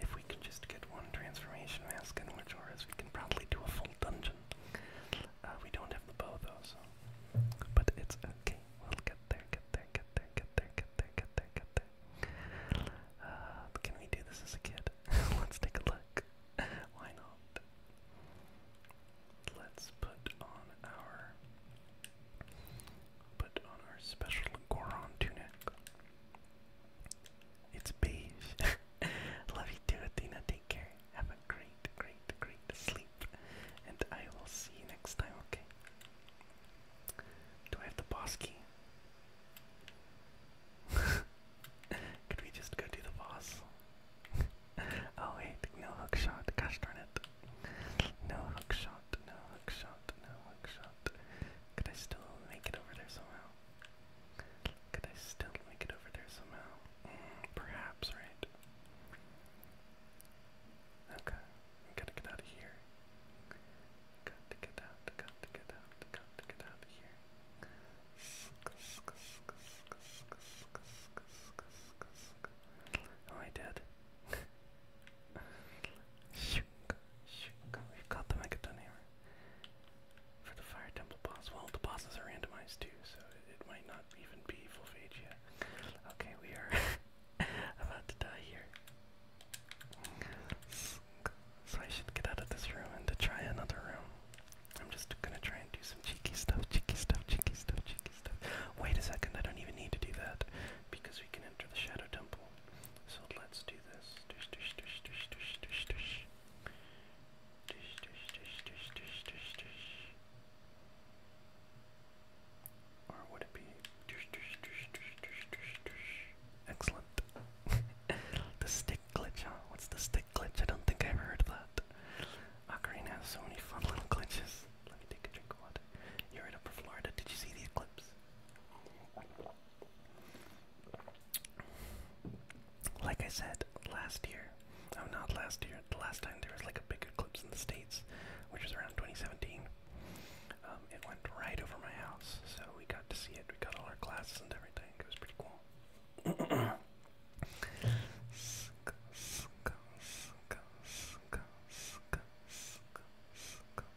If we could just get one transformation mask and in Majora's, we can probably do a full dungeon. Uh, we don't have the bow though, so. But it's okay. We'll get there, get there, get there, get there, get there, get there, get there. Uh, can we do this as Let's take a look. Why not? Let's put on our put on our special Goron tunic. It's beige. Love you too, Athena. Take care. Have a great, great, great sleep. And I will see you next time, okay? Do I have the boss key? Could we just go do the boss? oh wait, no hookshot. Gosh darn it. No hookshot no hook shot, no hook shot. Could I still make it over there somehow? Could I still make it over there somehow? Mm, perhaps, right? Okay, gotta get out of here. Got to get out, got to get out, got to get out of here. Oh, I did. Shoot. We've got the Megaton here. for the Fire Temple boss. Well, the bosses are randomized too, so it, might not even be full phage yet. Okay, we are about to die here. So I should get out of this room and try another room. I'm just gonna try and do some cheeky stuff, cheeky stuff, cheeky stuff, cheeky stuff. Wait a second, I don't even need to do that because we can enter the Shadow Temple. So let's do this. Or would it be excellent? the stick glitch, huh? What's the stick glitch? I don't think I ever heard of that. Ocarina has so many fun little glitches. Let me take a drink of water. You're right up for Florida. Did you see these clips? Like I said last year, oh, not last year, the last time there was like a big eclipse in the States, which was around 2017. Um, it went right over my house, so we got to see it. We got all our glasses and everything. It was pretty cool.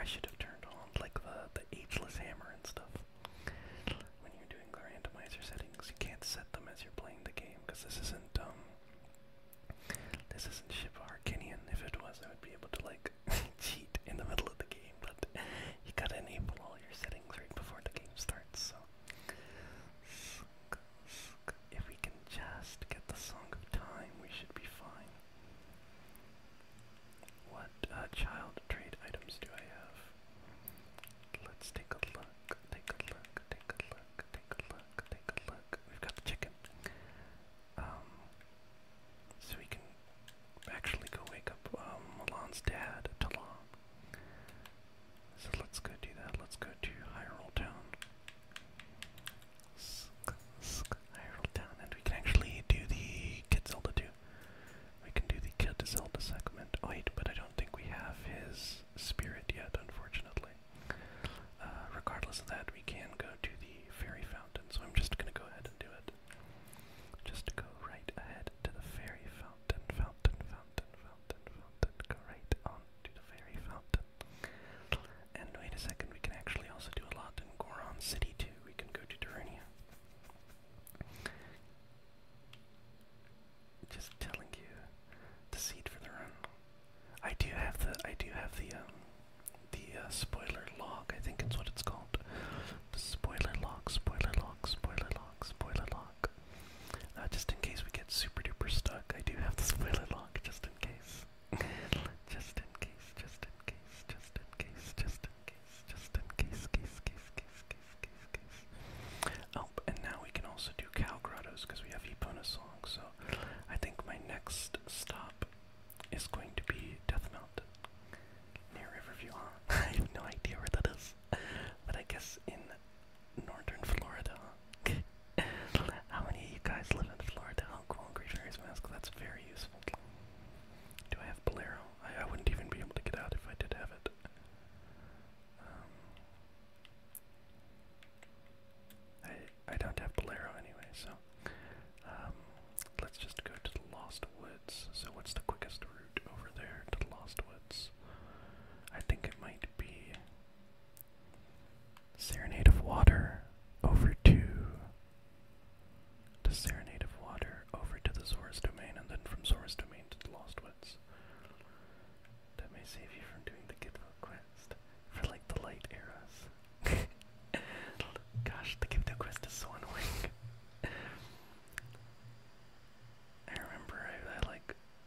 I should have turned on like the, the ageless hammer and stuff. When you're doing the randomizer settings, you can't set them as you're playing the game, because this isn't, um, this isn't Ship Arcanian. If it was, I would be able to, like, cheat in the middle of the game, but you gotta enable all your settings right before the game starts, so. If we can just get the Song of Time, we should be fine. What uh, child trade items do I have? Let's take a look, take a look, take a look, take a look, take a look. We've got the chicken. Um, so we can actually go wake up um, Milan's dad, Talon. So let's go do that. Let's go to Hyrule Town. Hyrule Town. And we can actually do the Kid Zelda too. We can do the Kid Zelda segment. Oh, wait, but I don't think we have his spirit yet, unfortunately. Uh, regardless of that, we can go to the Fairy Fountain. So I'm just going to go ahead and do it. Just go right ahead to the Fairy Fountain, Fountain fountain, fountain, fountain, go right on to the fairy fountain. And wait a second, we can actually also do a lot in Goron City too. We can go to Turania. Just telling you the seed for the run. I do have the I do have the um, the uh, spoiler log, I think it's what it's called. The spoiler log, spoiler log, spoiler log, spoiler log. Uh, just in case we get super duper stuck, I do have this spoiler lock, just in case. just in case, just in case, just in case, just in case, just in case, case, case, case, case, case, Oh, and now we can also do cow grottos because we have Epona song, so I think my next stop is going to be Death Mountain near Riverview, I have no idea where that is, but I guess in northern Florida. How many of you guys live in Florida? Oh, cool, mask. That's very useful. Do I have Bolero? I, I wouldn't even be able to get out if I did have it. Um, I, I don't have Bolero anyway, so um, let's just go to the Lost Woods. So what's the quickest route over there to the Lost Woods? I think it might be Serenade of Water over to the Serenade of Water over to the Source Domain, and then from Source Domain to the Lost Woods. That may save you from doing the Gitmo quest for like the light eras. Gosh, the Gitmo quest is so annoying. I remember I like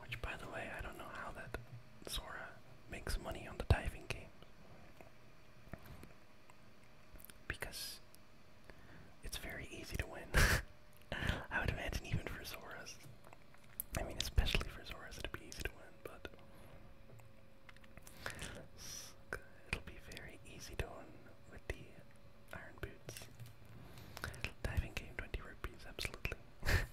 Which, by the way, I don't know how that Sora makes money on the diving game. Because it's very easy to win. I would imagine even for Sora's, I mean, especially for Sora's it'd be easy to win, but. It'll be very easy to win with the Iron Boots. Diving game 20 rupees, absolutely.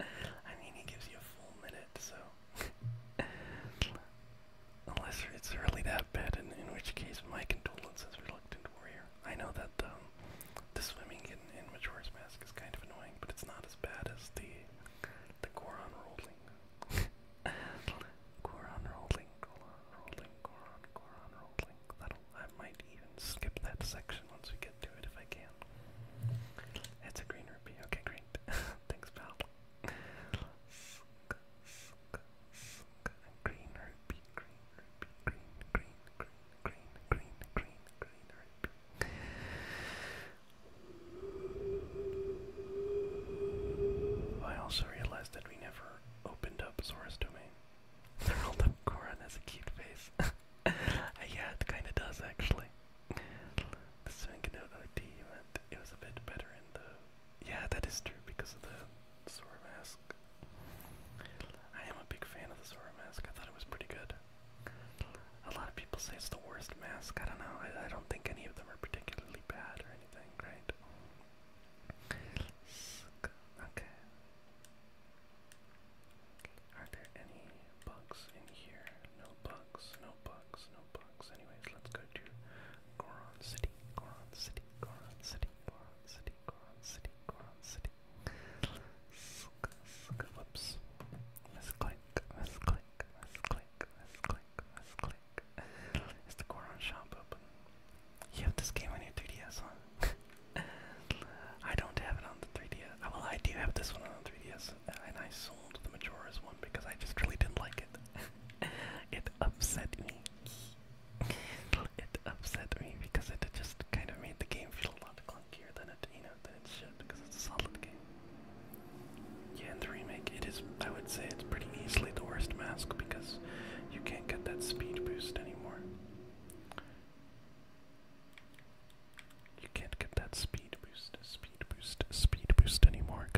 I mean, he gives you a full minute, so. Unless it's really that bad, in, which case my condolences, Reluctant Warrior. I know that um, the swimming in, in Majora's Mask is kind of annoying, but it's not as bad as the the Goron rolling. Goron rolling, Goron rolling, Goron, Goron rolling. That'll, I might even skip that section once we get get it if I can. It's a green ruby. Okay, great. Thanks, pal. Green rupee, green rupee, green, green, green, green, green, green, green I also realized that we never opened up Zora's domain. The rolled up Goron has a cute face. Uh, yeah, it kinda does actually the swing out OD meant it was a bit better in the. Yeah, that is true because of the Sora mask. I am a big fan of the Sora mask. I thought it was pretty good. A lot of people say it's the worst mask. I don't know. I, don't think any of them are particularly bad or anything, right? Okay. Are there any bugs in here? No bugs, no bugs, no bugs. Anyways, let's go to Goron City, Goron City, Goron City, Goron City, Goron City, Goron City. Sk sk whoops. Misclick, misclick, misclick, misclick, misclick. Is the Goron shop You have this game on your 3DS on. I don't have it on the 3DS. Oh, well, I do have this one on 3DS and I sold the Majora's one because I just really didn't like it. it upset me. it upset me because it just kind of made the game feel a lot clunkier than it, you know, than it should because it's a solid game. Yeah, in the remake, it is. I would say it's pretty easily the worst mask because you can't get that speed boost anymore. You can't get that speed boost, speed boost, speed boost anymore.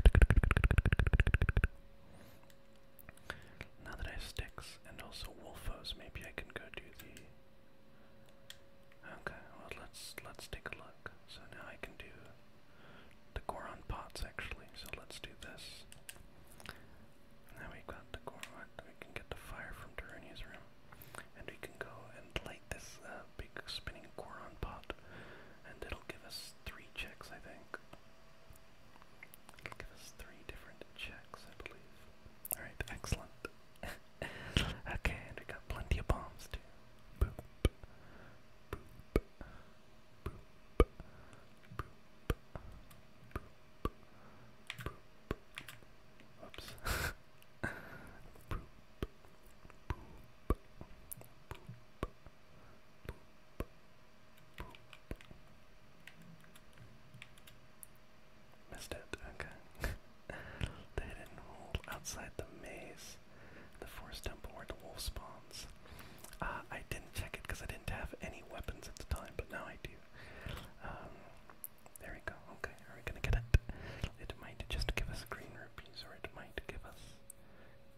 Now that I have sticks and also wolfos, maybe I can go do the. Okay, well let's let's take a look. So now I can do the Goron pots actually. So let's do this. Now we got the Goron. We can get the fire from Turania's room, and we can go and light this big spinning Goron pot, and it'll give us three checks, I think. It'll give us three different checks, I believe. Alright, excellent. okay, and we got plenty of bombs too. Oops. Missed it, okay. the hidden hole outside the maze. The forest temple where the wolf spawns. Uh, I didn't check it because I didn't have any weapons at the time, but now I do. Um, there we go. Okay, are we gonna get it? It might just give us green rupees, or it might give us.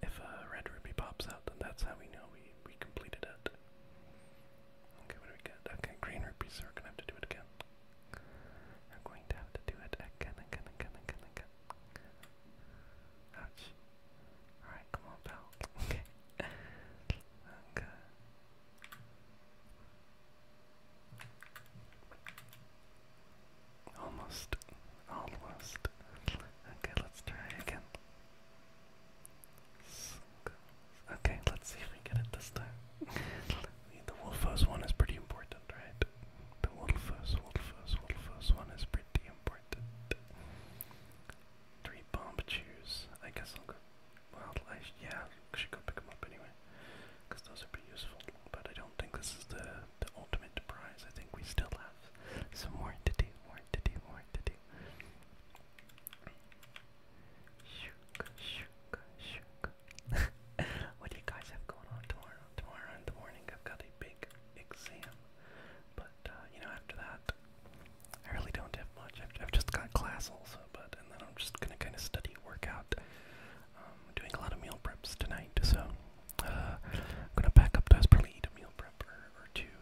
If a red ruby pops out, then that's how we know we we completed it. Okay, what do we get? Okay, green rupees. So we're gonna have to do it again. We're going to have to do it again, again, again, again, again. Ouch. Alright, come on, pal. Okay. okay. Almost. Almost. Okay, let's try again. Okay, let's see if we get it this time. the Wolfos one is pretty important, right? The Wolfos, Wolfos, Wolfos one is pretty important. Three bomb chews. I guess I'll go. Well, I yeah, cause you can pick them up anyway because those are pretty useful. But I don't think this is the the ultimate prize. I think we still have some more to do, more to do, more to do. Shook, shook, shook. what do you guys have going on tomorrow? Tomorrow in the morning, I've got a big exam. But uh, you know, after that, I really don't have much. I've, just got class also, but then I'm just gonna kind of study, work I'm um, doing a lot of meal preps tonight, so I'm uh, gonna pack up those, probably eat a meal prep or, two,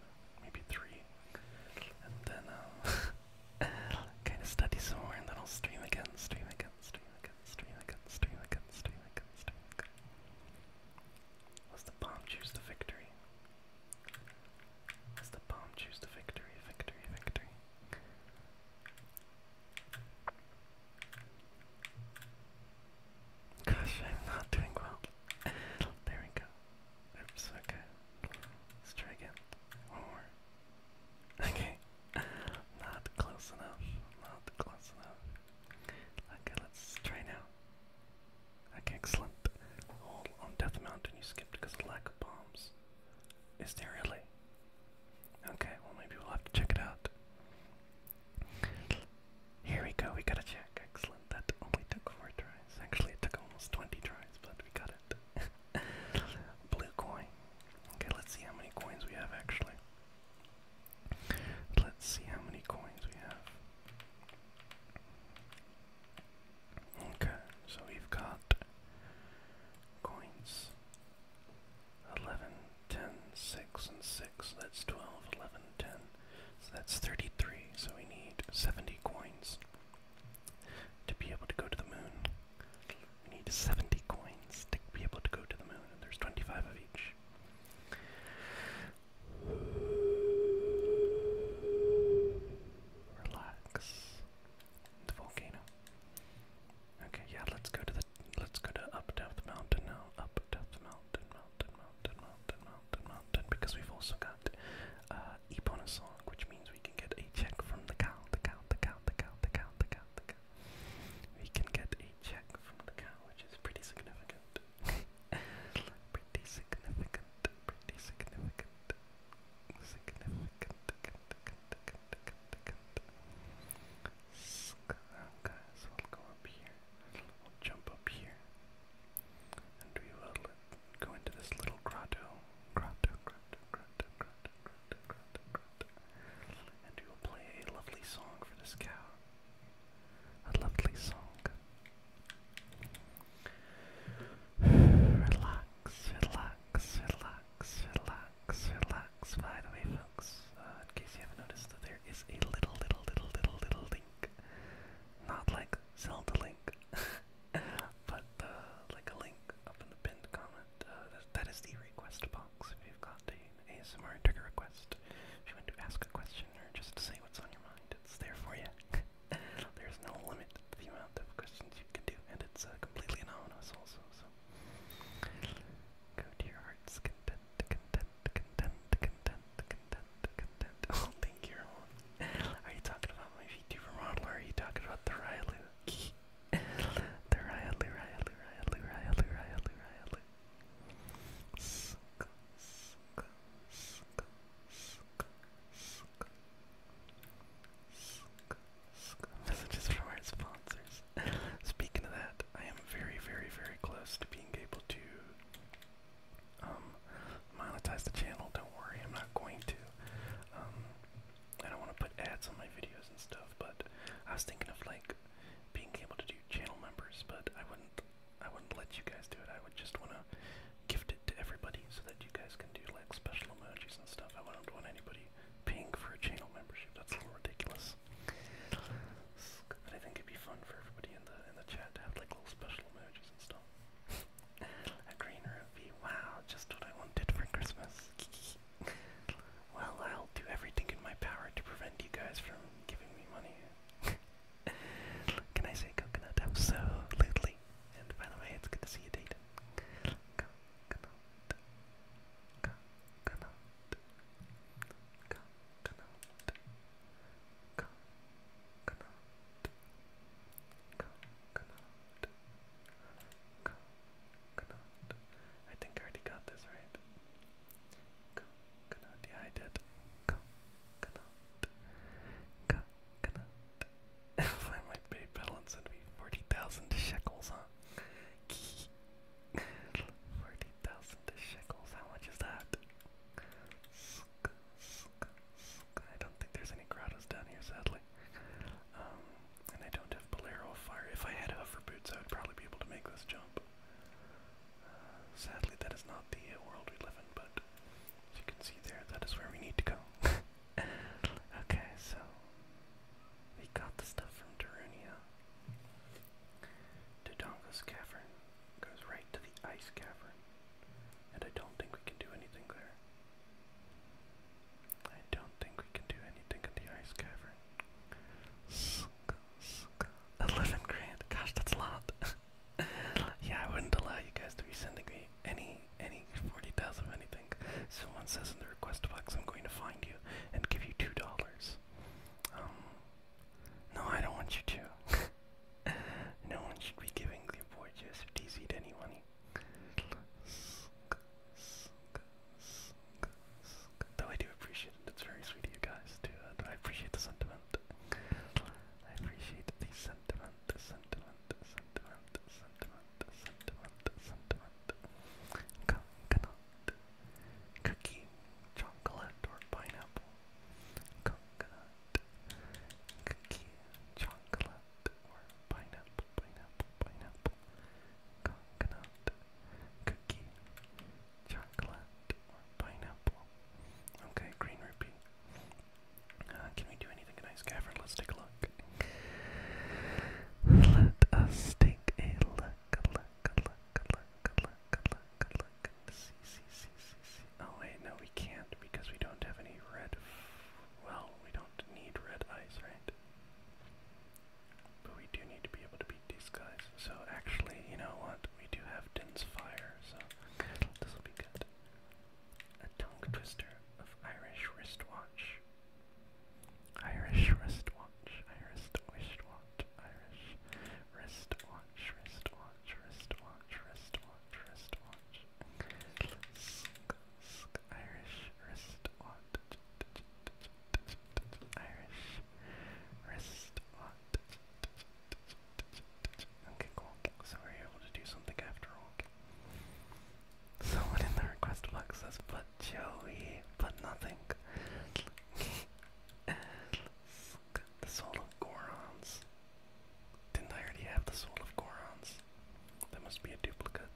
maybe three, and then I'll kind of study some more, and then I'll stream again, stream again, stream again, stream again, stream again, stream again, stream again. Let's the bomb choose the victory. let the bomb choose the victory, victory, victory. Gosh, I'm not doing well. there we go. Oops, okay. Let's try again. One more. Okay. Not close enough. Not close enough. Okay, let's try now. Okay, excellent. All on Death Mountain you skipped lack of bombs. Is there really? Okay, well maybe we'll have to check it out. Here we go, we got a check. Excellent. That only took four tries. Actually it took almost twenty tries, but we got it. Blue coin. Okay, let's see how many coins we have actually. Let's see how many coins we have. Okay, so we've got coins. 11, 10, 6, and 6. That's 12, 11, 10. So that's 33. So we need 70 coins to be able to go to the moon. We need 70 coins to be able to go to the moon, and there's 25 of each. Relax. The volcano. Okay, yeah, let's go to the Let's go to up Death Mountain now. Up Death Mountain, Mountain, Mountain, Mountain, Mountain, Mountain. Because we've also got uh, Ebonasong, which means we can get a check from the cow, the cow, the cow, the cow, the cow, the cow, the cow. We can get a check from the cow, which is pretty significant. pretty significant, pretty significant, significant so we'll go up here. We'll jump up here. And we will go into this little grotto. Grotto, grotto, grotto, grotto, grotto, grotto, grotto. And we will play a lovely song for this cow. A lovely song. relax, relax, relax relax, relax. By the way, folks, uh, in case you haven't noticed, that there is a little, little, little, little, little link. Not like Zelda Link, but uh, like a link up in the pinned comment. Uh, that, that is the request box. If you've got an ASMR trigger request, if you want to ask a question or just say what's on your mind, it's there for you. There's no limit to the amount of questions you can do, and it's uh, completely anonymous also, so Go to your heart's content, content, content, content, content, content. Oh, thank you. Are you talking about my VTuber model or are you talking about the Ryalu? the Ryalu, Ryalu, Ryalu, Ryalu, Ryalu, Ryalu. Suck, suck, suck, suck, suck. Suck, suck. Messages from our sponsors. Speaking of that, I am very, very, very close to being able to um, monetize the channel. Don't worry, I'm not going to. Um, I don't want to put ads on my videos and stuff, but I was thinking of like being able to do channel members, but I wouldn't. I wouldn't let you guys do it. I would just want to gift it to everybody so that you guys can do like special emojis and stuff. I wouldn't want anybody paying for a channel membership. That's a little ridiculous. But I think it'd be fun for everybody in the in the chat to have like little special emojis and stuff. a green ruby, wow, just what I wanted for Christmas. well, I'll do everything in my power to prevent you guys from giving me money. Can I say coconut? Absolutely. And by the way, it's good to see you, Dayton. Coconut. Coconut. I think I already got this right. yeah, I did. If I might pay balance, it 40,000 shekels, huh? Forty thousand shekels. How much is that? I don't think there's any grottos down here, sadly. Um, and I don't have Bolero fire. If I had hover boots, I would probably be able to make this jump. Uh, sadly, that is not the uh, world we live in, but as you can see there, that is where we need to go. okay, so we got the stuff from Darunia. Dodonga's cavern goes right to the ice cavern, and I don't think we can do anything there. I don't think we can do anything in the ice cavern. Eleven grand, gosh, that's a lot. yeah, I wouldn't allow you guys to be sending me any any forty thousand of anything. Someone says in the request box, I'm going to find you and give you two dollars. Um, no, I don't want you to. no one should be giving the boy Joseph DZ any money. Though I do appreciate it, it's very sweet of you guys to, uh, I appreciate the sentiment. I appreciate the sentiment, the sentiment, the sentiment, the sentiment, the sentiment, the sentiment. Come, come on, cookie, chocolate or pineapple, coconut, cookie, chocolate or pineapple, pineapple, pineapple, coconut, cookie, chocolate or pineapple. Okay, green rupee. Uh, can we do anything nice, Gavin? Let's take a look. Let us take a Look, good luck, good luck, good luck, good luck, good luck. Oh wait, no, we can't because we don't have any red. Well, we don't need red eyes, right? But we do need to be able to beat these So actually, you know what? We do have dense fire, so this will be good. A tongue twister of Irish wristwatch. Irish wristwatch, Irish wristwatch, Irish wristwatch, wristwatch, wristwatch, wristwatch, wristwatch. Irish wristwatch, Irish wristwatch. Okay, cool. So we're able to do something after all. Someone in the request box says, "Put Joey, but nothing. the Soul of Gorons. Didn't I already have the Soul of Gorons? That must be a duplicate.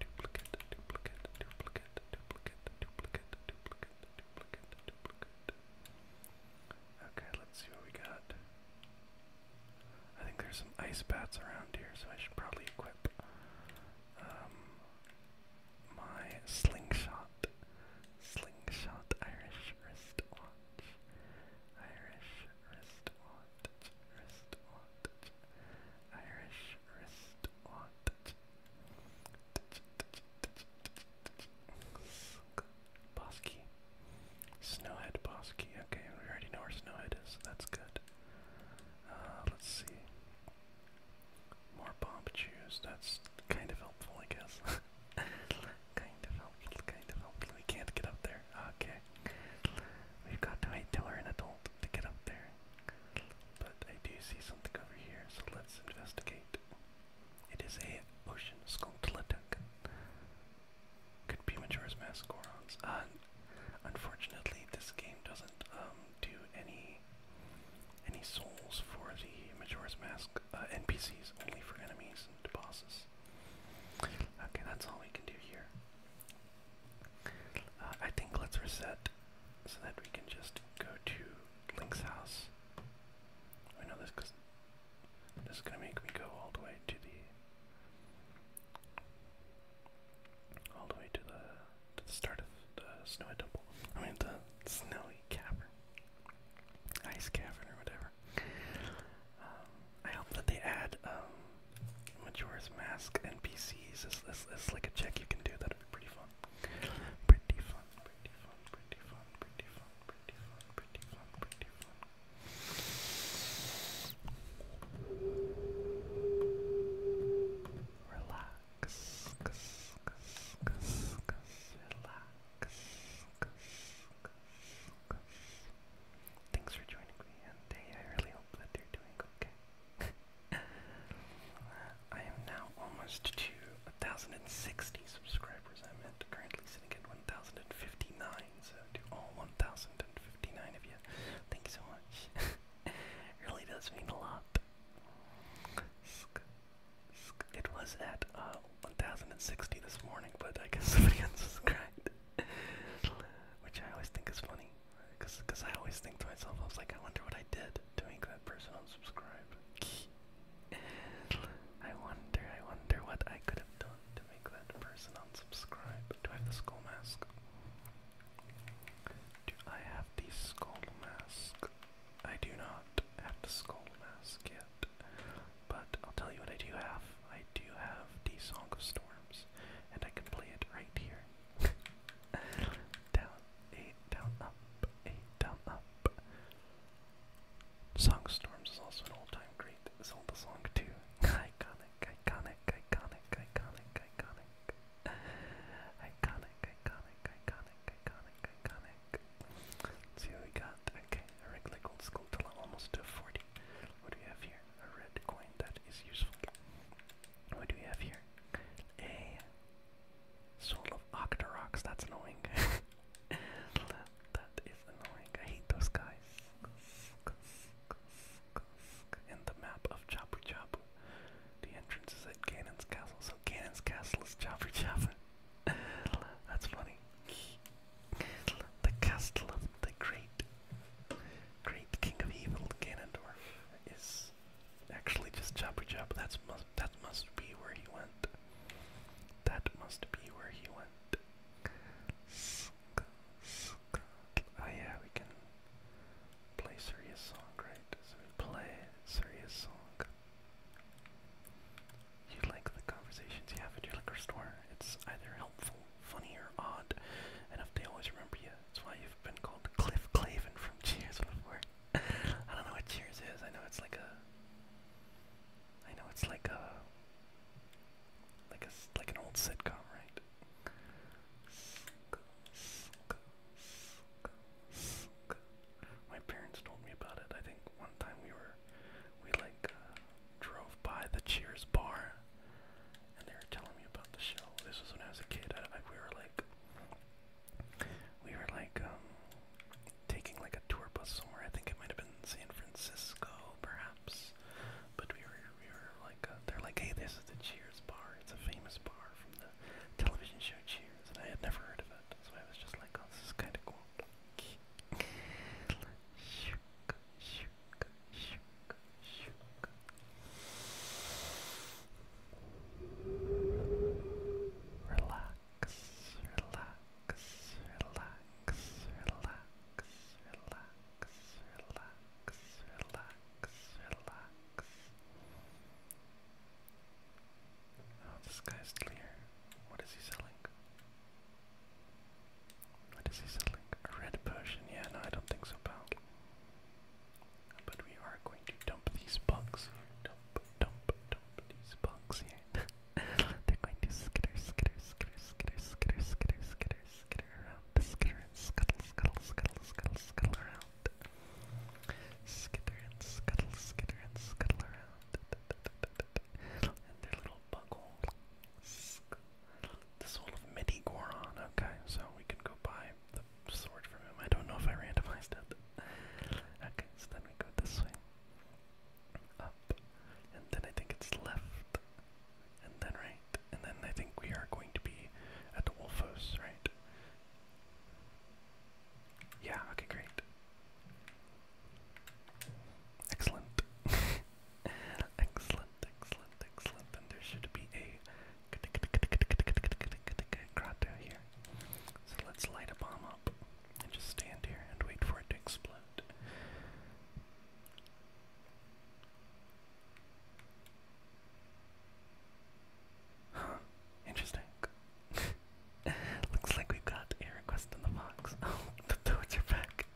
Duplicate, duplicate, duplicate, duplicate, duplicate, duplicate, duplicate, duplicate. Okay, let's see what we got. I think there's some ice bats around here, so I should probably equip. Um, my slingshot, slingshot Irish wristwatch, Irish wristwatch, wristwatch, Irish wristwatch. Bosky. Snowhead Bosky. Okay, we already know where Snowhead is, that's good. Uh, let's see. More bomb that's kind of helpful, I guess. kind of helpful, kind of helpful. We can't get up there. Okay. We've got to wait till we're an adult to get up there. But I do see something over here, so let's investigate. It is a ocean sculptletic. Could be Majora's Mask Gorons. unfortunately, this game doesn't um, do any any souls for the Majora's Mask uh, NPCs, only for enemies and bosses. Okay, that's all we can do here. Uh, I think let's reset so that we can just go to Link's house. I know this because this is gonna make me go all the way to the all the way to the to the start of the snowy temple. I mean the snowy cavern, ice cavern or whatever. Um, I hope that they add um, Mask NPCs. it's like a check you can do. That'd be pretty fun. Pretty fun. Pretty fun. Pretty fun. Pretty fun. Pretty fun. Pretty fun. Pretty fun. Relax. Thanks for joining me on I really hope that you're doing okay. I am now almost to 1,060 subscribers. I'm at currently sitting at 1,059. So to all 1,059 of you, thank you so much. really does mean a lot. It was at uh, 1060 this morning, but I guess somebody unsubscribed. Which I always think is funny. Because I always think to myself, I was like, I wonder what I did to make that person unsubscribe. I wonder, I wonder what I could have done to make that person unsubscribe. Do I have the skull mask? Do I have the skull mask? I do not have the skull mask yet, but I'll tell you what I do have. I do have the Song of Storms, and I can play it right here. down, eight, down, up, eight, down, up. Song of Storms is also an all-time great It's Zelda song too. iconic, iconic, iconic, iconic, iconic. Iconic, iconic, iconic, iconic, iconic. let see what we got. Okay, a regular gold school till almost to 40. What do we have here? A red coin that is useful. What do we have here? A soul of Octorox. That's annoying. that is annoying. I hate those guys. And the map of Chapu Chapu. The entrance is at Ganon's castle, so Cannon's castle is Jaffa Jaffa. That's funny. The castle of the great, great king of evil, Ganondorf, is actually just Jabber Jabba. That's must. That must be where he went. That must be where he went. Sk, sk. Oh yeah, we can play Surya's song, right? So we play Surya's song. You like the conversations you have at your liquor store. It's either helpful, funny, or odd, and they always remember you, that's why you've been called Cliff Clavin from Cheers before. I don't know what Cheers is. I know it's like a. I know it's like a. Like a like an old sitcom, right? My parents told me about it. I think one time we were, we like uh, drove by the Cheers bar, and they were telling me about the show. This was when I was a kid. I, I, we were like, we were like um, taking like a tour bus somewhere. I think it might have been San Francisco, perhaps. But we were, we were like, uh, they're like, hey, this is the Cheers bar. It's a famous bar from the television show Cheers, and I had never heard of it that, so I was just like, oh, this is kind of cool. Relax, relax, relax, relax, relax, relax, relax, relax. Oh, this guy's clear. What is he selling? What is he selling? A red potion? Yeah, no, I don't think so, pal. But we are going to dump these bugs Dump, dump, dump these bugs here. They're going to skitter, skitter, skitter, skitter, skitter, skitter, skitter, skitter around. Skitter and scuttle, scuttle, scuttle, scuttle, around. Skitter and scuttle, skitter and scuttle around. And their little buckle. The soul of Midi Okay, so we can go buy the sword from him. I don't know if I randomized it. Okay, so then we go this way. Up. And then I think it's left. And then right. And then I think we are going to be at the Wolfos, right? Yeah, okay, great. Excellent. excellent, excellent, excellent. And there should be a grotto here. So let's light a bomb up and just stand here and wait for it to explode. Huh, interesting. Looks like we've got a request in the box. Oh, the toads are back.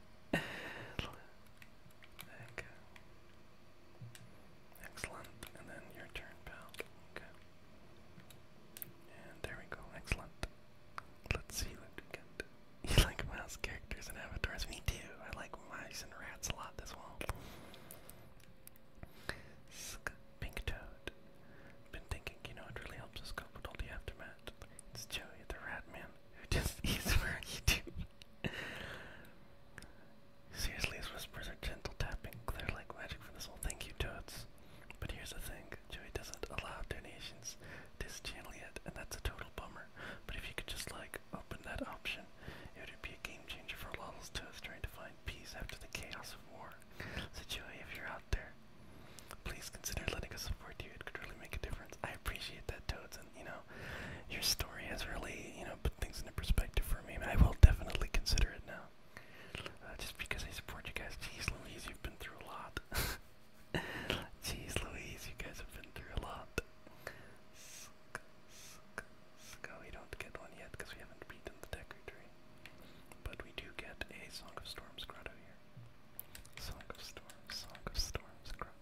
Excellent. And then your turn, pal. Okay. And there we go. Excellent. Let's see what we get. You like mouse characters and avatars? Me too. I like mice and rats a lot as well. Sk Been thinking, you know, it really helps us cope all the aftermath. It's Joey the Rat Man, who just eats for YouTube. Seriously, his whispers are gentle tapping. they like magic for this whole thank you, Toads. But here's the thing, Joey doesn't allow donations to channel yet, and that's a total bummer. But if you could just, like, open that option, it would be a game changer for Lawless Toads trying to find peace after the chaos of war. So Joey, if you're out there. Please consider letting us support you. It could really make a difference. I appreciate that, Toads, and you know, your story has really, you know, put things into perspective for me. I will definitely consider it now. Uh, just because I support you guys. Jeez Louise, you've been through a lot. Jeez Louise, you guys have been through a lot. Oh, we don't get one yet because we haven't beaten the Decker tree. But we do get a Song of Storms Grotto here. Song of Storms, Song of Storms, Grotto,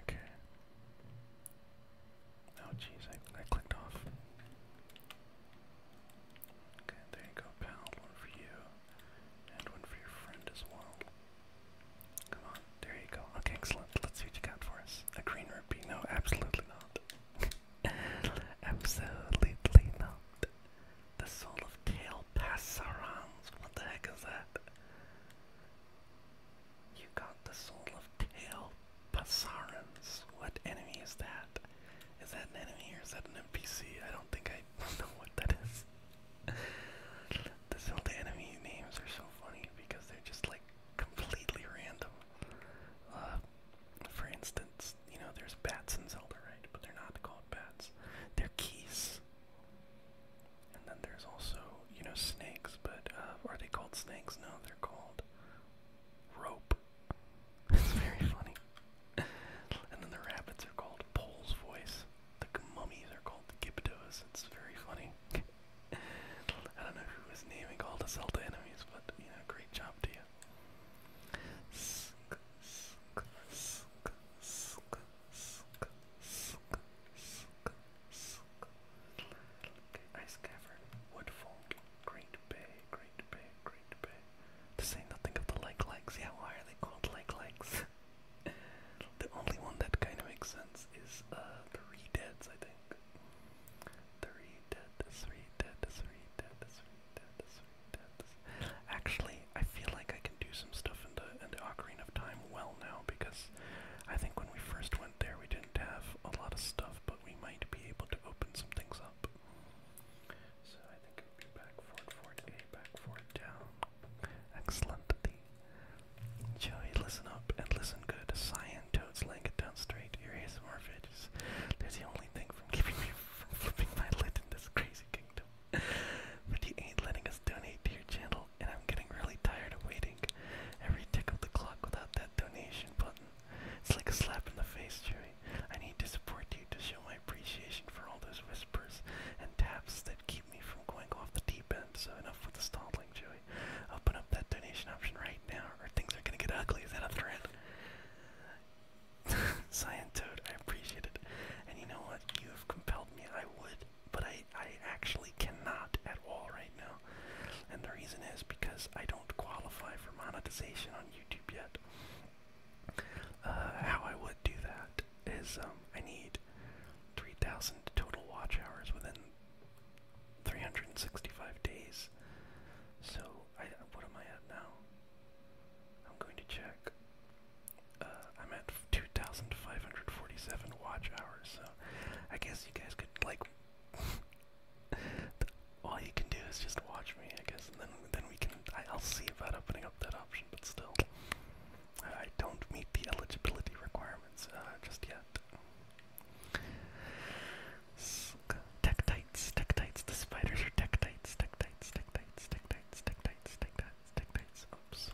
Okay. Oh jeez, I clicked off. Okay, there you go, One for you, and one for your friend as well. Come on, there you go. Okay, excellent. Let's see what you got for us. A green rupee? No, absolutely not. absolutely not. The soul of tail passarons. What the heck is that? You got the soul of tail passarons. What enemy is that? Is that an enemy or is that an NPC? I don't think I know what that is. This all enemy names are so funny because they're just like completely random. Uh, for instance, you know, there's bats in Zelda, right? But they're not called bats. They're keys. And then there's also, you know, snakes, but uh, are they called snakes? No, they're called rope. It's very funny and then the rabbits are called Pole's voice. The mummies are called Giptos. It's very funny. I don't know who was naming all the Zelda enemies, but you know, great job to you. Ice Cavern, Woodfall, Great Bay, Great Bay, Great to say nothing of the like legs, yeah, why are they called like legs? the only one that kind of makes sense is uh, three I think. Three dead, three dead, three dead, three dead, three dead. Actually, I feel like I can do some stuff in the, in the Ocarina of Time well now because I think when we first went there we didn't have a lot of stuff, but we might be able to open some things up. So I think back forward, forward, A, back forward, down. Excellent. Joey, listen up and listen good. Cyan, toads, laying it down straight. Your ASMR videos. They're the only thing from keeping me from flipping my lid in this crazy kingdom. but you ain't letting us donate to your channel, and I'm getting really tired of waiting. Every tick of the clock without that donation button. It's like a slap in the face, Joey. I need to support you to show my appreciation for all those whispers and taps that keep me from going off the deep end, so enough with the stalling, Joey. Open up that donation option right now, or things are gonna get ugly. Is that a threat? Scientode, I appreciate it. And you know what? You have compelled me. I would, but I, I actually cannot at all right now. And the reason is because I don't qualify for monetization on YouTube yet. Uh, how I would do that is um, I need 3,000 total watch hours within 365 days. So, I, what am I at now? I'm going to check. Uh, I'm at 2,547 watch hours, so I guess you guys could, like, all you can do is just watch me, I guess, then, then we can, I'll see about opening that option, but still. I don't meet the eligibility requirements just yet. Tektites, tektites, the spiders are tektites, tektites, tektites, tektites, tektites, tektites, tektites, oops.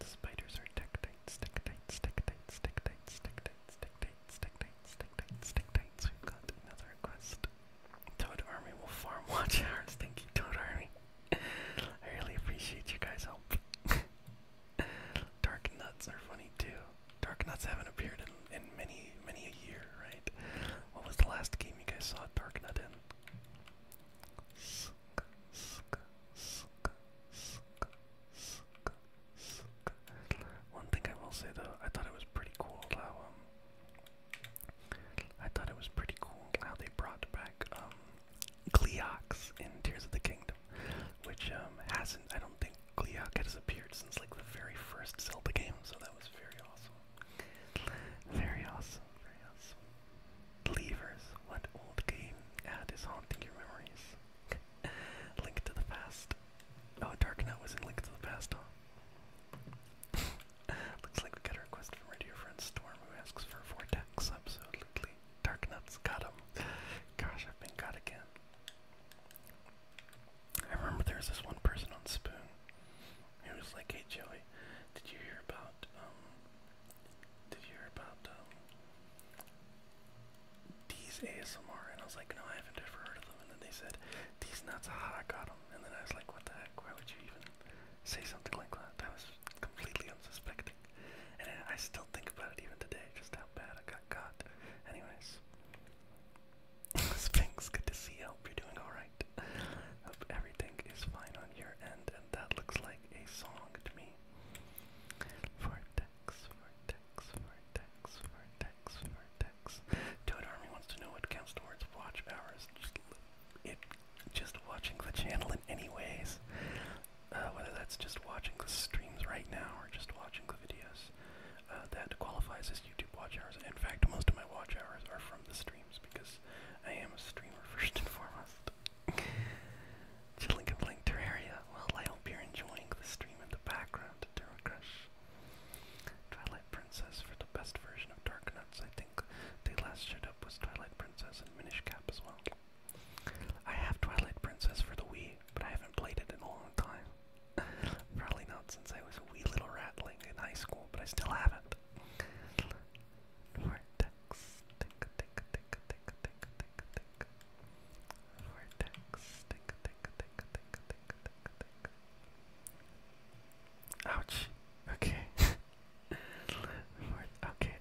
The spiders are tektites, tektites, tektites, tektites, tektites, tektites, tektites, tektites, tektites, we've got another request. Toad Army will farm watch hours. Thank you, Toad Army. I really appreciate you guys' help. Dark nuts are funny too. Dark nuts haven't appeared in, in many, many a year, right? What was the last game you guys saw Dark Nut in? One thing I will say though, I thought it was pretty cool how I thought it was pretty cool how they brought back um, in Tears of the Kingdom, which um, hasn't, I don't think Cleox has appeared since like the very first Zelda game, so that was very awesome. Very awesome, very awesome. Levers, what old game ad ah, is haunting your memories? Link to the Past. Oh, Dark Knight was in Link to the Past, huh? Looks like we got a request from Radio Friend Storm who asks for Vortex. Absolutely. Dark Nuts got him. Gosh, I've been got again. I remember there was this one person on Spoon who was like, hey Joey, did you hear about, um, did you hear about, um, ASMR? And I was like, no, I haven't ever heard of them. And then they said, these nuts are hot, I got them. And then I was like, what the heck, why would you even say something like that? I was completely unsuspecting. And I still think about it even today, just how bad I got caught. Anyways. Sphinx, good to see you. Hope you're doing alright. Hope everything is fine on your end, and that looks like a song to me. Vortex, vortex, vortex, vortex, vortex, six. Toad Army wants to know what counts towards watch hours. Just it, just watching the channel in any ways. Uh, whether that's just watching the streams right now or just watching the videos, uh, that qualifies as YouTube watch hours. In fact, most of my watch hours are from the streams because I am a streamer first and foremost. Chilling and playing Terraria. Well, I hope you're enjoying the stream in the background, Terra Crush. Twilight Princess for the best version of Dark Nuts. I think they last showed up was Twilight Princess and Minish Cap as well. I have Twilight Princess for the Wii, but I haven't played it in a long time. Probably not since I was a wee little ratling in high school, but I still have not Ouch. Okay. okay.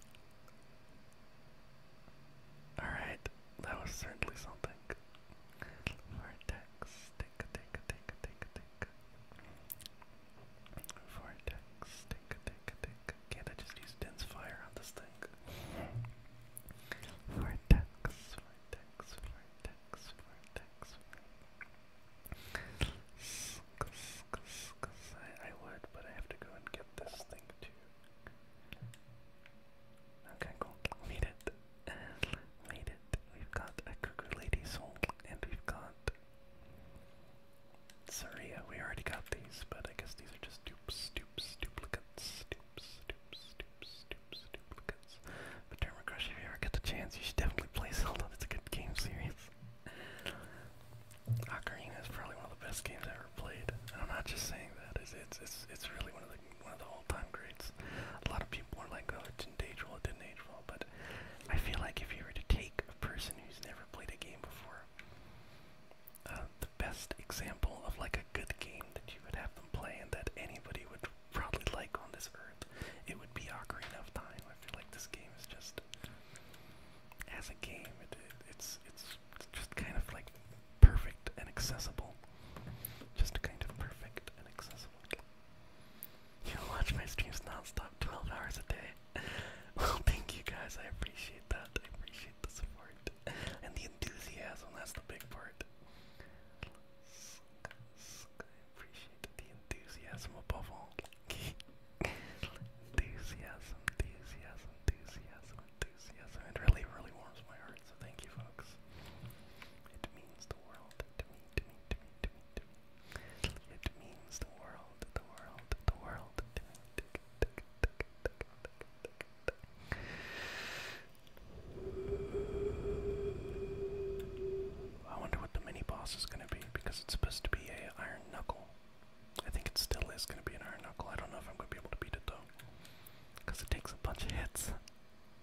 Alright, that was certainly something. Vortex, take a take a take a take a take. Vortex, take a take a take. can I just use dense fire on this thing? Vortex, vortex, vortex. Vortex, vortex. I, I would, but I have to go and get this thing too. Okay, cool. Made it. Made it. We've got a cuckoo lady soul, and we've got Saria. We already got these, but I guess these are just dupes, dupes, duplicates, dupes, dupes, dupes, dupes, duplicates. But Terma Crush, if you ever get the chance, you should definitely play Zelda. It's a good game series. Ocarina is probably one of the best games I ever played. And I'm not just saying that. It's it's it's, it's really one of the one of the all-time greats. A lot of people are like, oh, it didn't age well, it didn't age well. But I feel like if you were to take a person who's never played a game before, uh, the best example of like a good game that you would have them play and that anybody would probably like on this earth, it would be Ocarina of Time like this game is just, as a game, it's it's it's just kind of like perfect and accessible. Just kind of perfect and accessible. You watch my streams non-stop 12 hours a day. well, thank you guys. I appreciate that. I appreciate the support and the enthusiasm. That's the big part. I appreciate the enthusiasm above all. enthusiasm, enthusiasm, enthusiasm, enthusiasm. It really, really warms my heart, so thank you, folks. It means the world to me, to me, It means the world, the world, the world to me. I wonder what the mini boss is going to be because it's supposed to be a iron knuckle. I think it still is going to be an iron knuckle. I don't know if I'm going to be able to beat it though, because it takes a bunch of hits.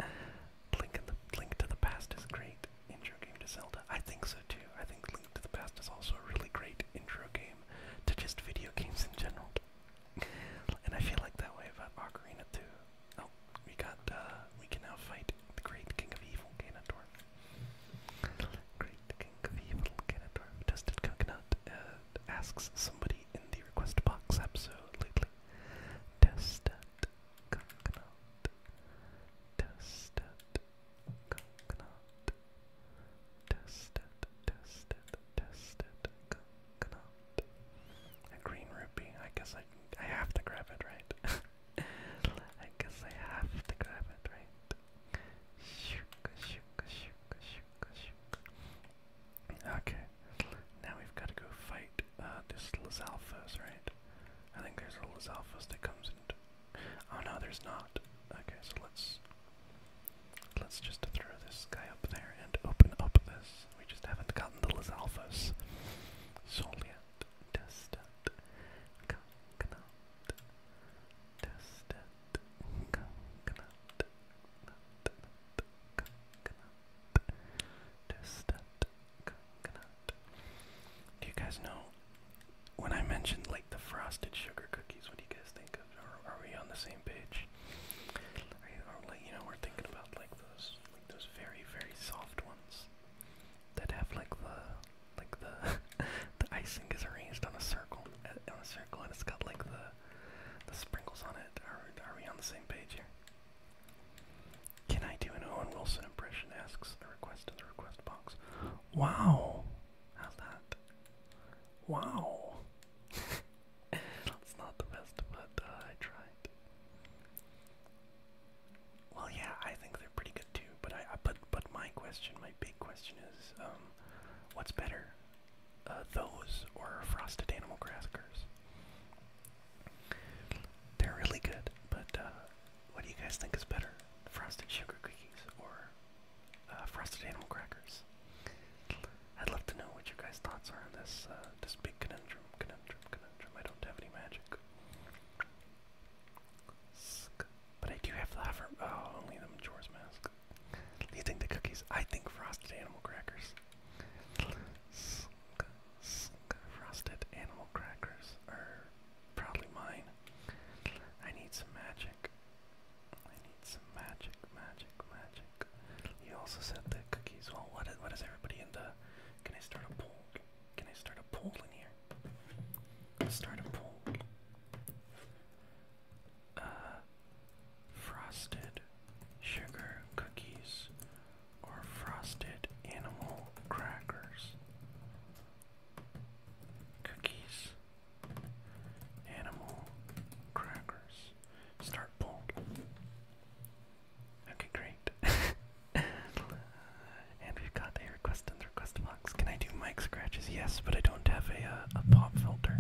Link, in the, Link to the Past is great intro game to Zelda. I think so too. I think Link to the Past is also a really great intro game to just video games in general. and I feel like that way about Ocarina too. Oh, we got. Uh, we can now fight the great king of evil, Ganondorf. Great king of evil, Ganondorf. Dusted Coconut uh, asks somebody in the request box absolutely. Dusted Coconut. Dusted Coconut. Dusted, dusted, dusted Coconut. A green rupee. I guess I, I have to grab it, right? I guess I have to grab it, right? Shook, shook, shook, shook, shook. Okay. Now we've got to go fight uh, this Lazalfos, right? I think there's a Lazalfos that comes in. Oh no, there's not. Okay, so let's let's just throw this guy up there and open up this. We just haven't gotten the Lazalfos. Solia. Do you guys know when I mentioned like the frosted sugar cookies? What do you guys think of? Are, are we on the same page? you know, we're thinking about like those, like those very, very soft ones that have like the like the the icing is arranged on a circle uh, on a circle and it's got like the the sprinkles on it. Are we on the same page here? Can I do an Owen Wilson impression? Asks the request in the request box. Wow, how's that? Wow, that's not the best, but uh, I tried. Well, yeah, I think they're pretty good too. But I, but but my question, my big question is, um, what's better, uh, those or frosted animal crackers? They're really good, but uh, what do you guys think is better, frosted sugar cookies or uh, frosted animal crackers? I'd love to know what your guys' thoughts are on this this big conundrum, conundrum, conundrum. I don't have any magic. But I do have lava. Oh, only the Majora's Mask. You think the cookies. I think frosted animal crackers. Frosted animal crackers are probably mine. I need some magic. I need some magic, magic, magic. You also said the cookies. Well, what is, what is everybody in the? Can I start a poll? Can I start a poll in here? let start a poll. Uh, frosted sugar cookies or frosted animal crackers? Cookies, animal crackers. Start poll. Okay, great. and got a request request box. Can I do mic scratches? Yes, but I don't have a, uh, a pop filter.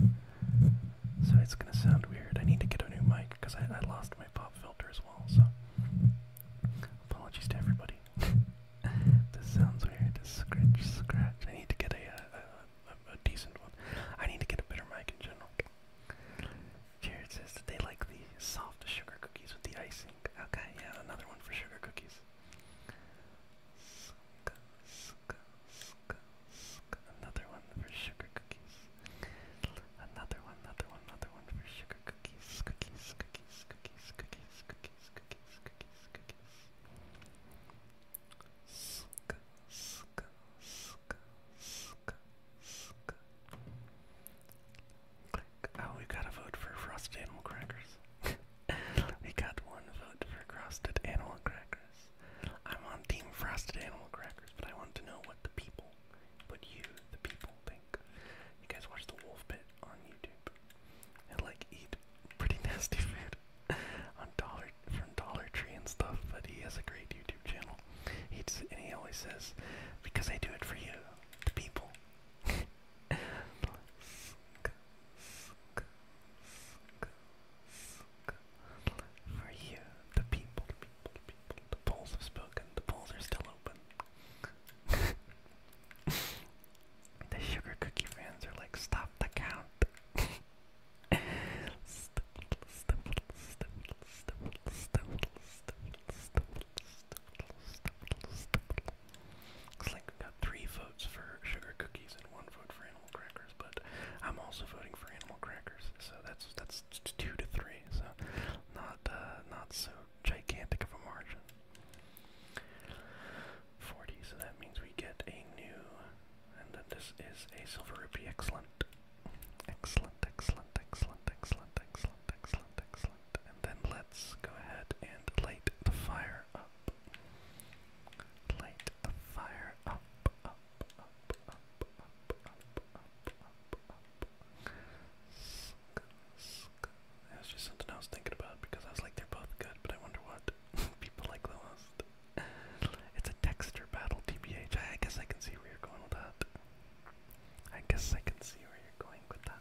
So it's gonna sound weird. I need to get a new mic because I, I lost my pop filter as well, so apologies to everybody. this sounds weird. This scratch, scratch. I need to get uh, a, a decent one. I need to get a better mic in general. Jared says that they like the soft sugar cookies with the icing. Okay, yeah, another one for sugar cookies. Suka, suka, suka, suka. Another one for sugar cookies. Another one, another one, another one for sugar cookies. Cookies, cookies, cookies, cookies, cookies, cookies, cookies, cookies. Suka, suka, suka, suka, suka. Oh, we got a vote for frosted animal crackers. we got one vote for frosted animal crackers. I'm on team frosted animal crackers, but I want to know what the people, what you, the people, think. You guys watch the Wolf Pit on YouTube and like eat pretty nasty food on Dollar from Dollar Tree and stuff. But he has a great YouTube channel. He and he always says, "Because I do it for you, the people." For you, the people, the polls have spoken. The polls are still open. the sugar cookie fans are like, stop the count. Looks like we got three votes for sugar cookies and one vote for animal crackers, but I'm also voting for animal crackers, so that's that's two to three, so not uh, not so gigantic of a margin. Forty, so that means we get a new, and then this is a silver rupee. excellent, excellent, excellent, excellent, excellent, excellent, excellent. And then let's go ahead and light the fire up. Light the fire up, up, up, up, up, up, up, up, up. Sk, That was just something I was thinking about because I was like, they're both good, but I wonder what people like the most. it's a texture battle, TBH. I guess I can see where you're going with that. I guess I can see where you're going with that.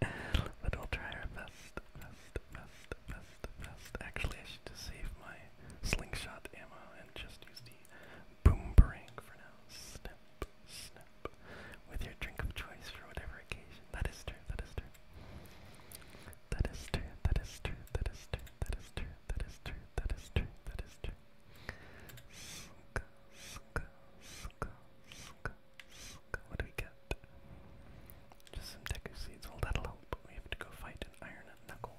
but we'll try our best, best, best, best, best. Actually, I should just save my slingshot ammo and just use the boomerang for now. Snap, snap, with your drink of choice for whatever occasion. That is true, that is true. That is true, that is true, that is true, that is true, that is true, that is true, that is true. That is true. Ska, ska, ska, ska, what do we get? Just some Deku seeds. Well, that'll help. We have to go fight an Iron Knuckle.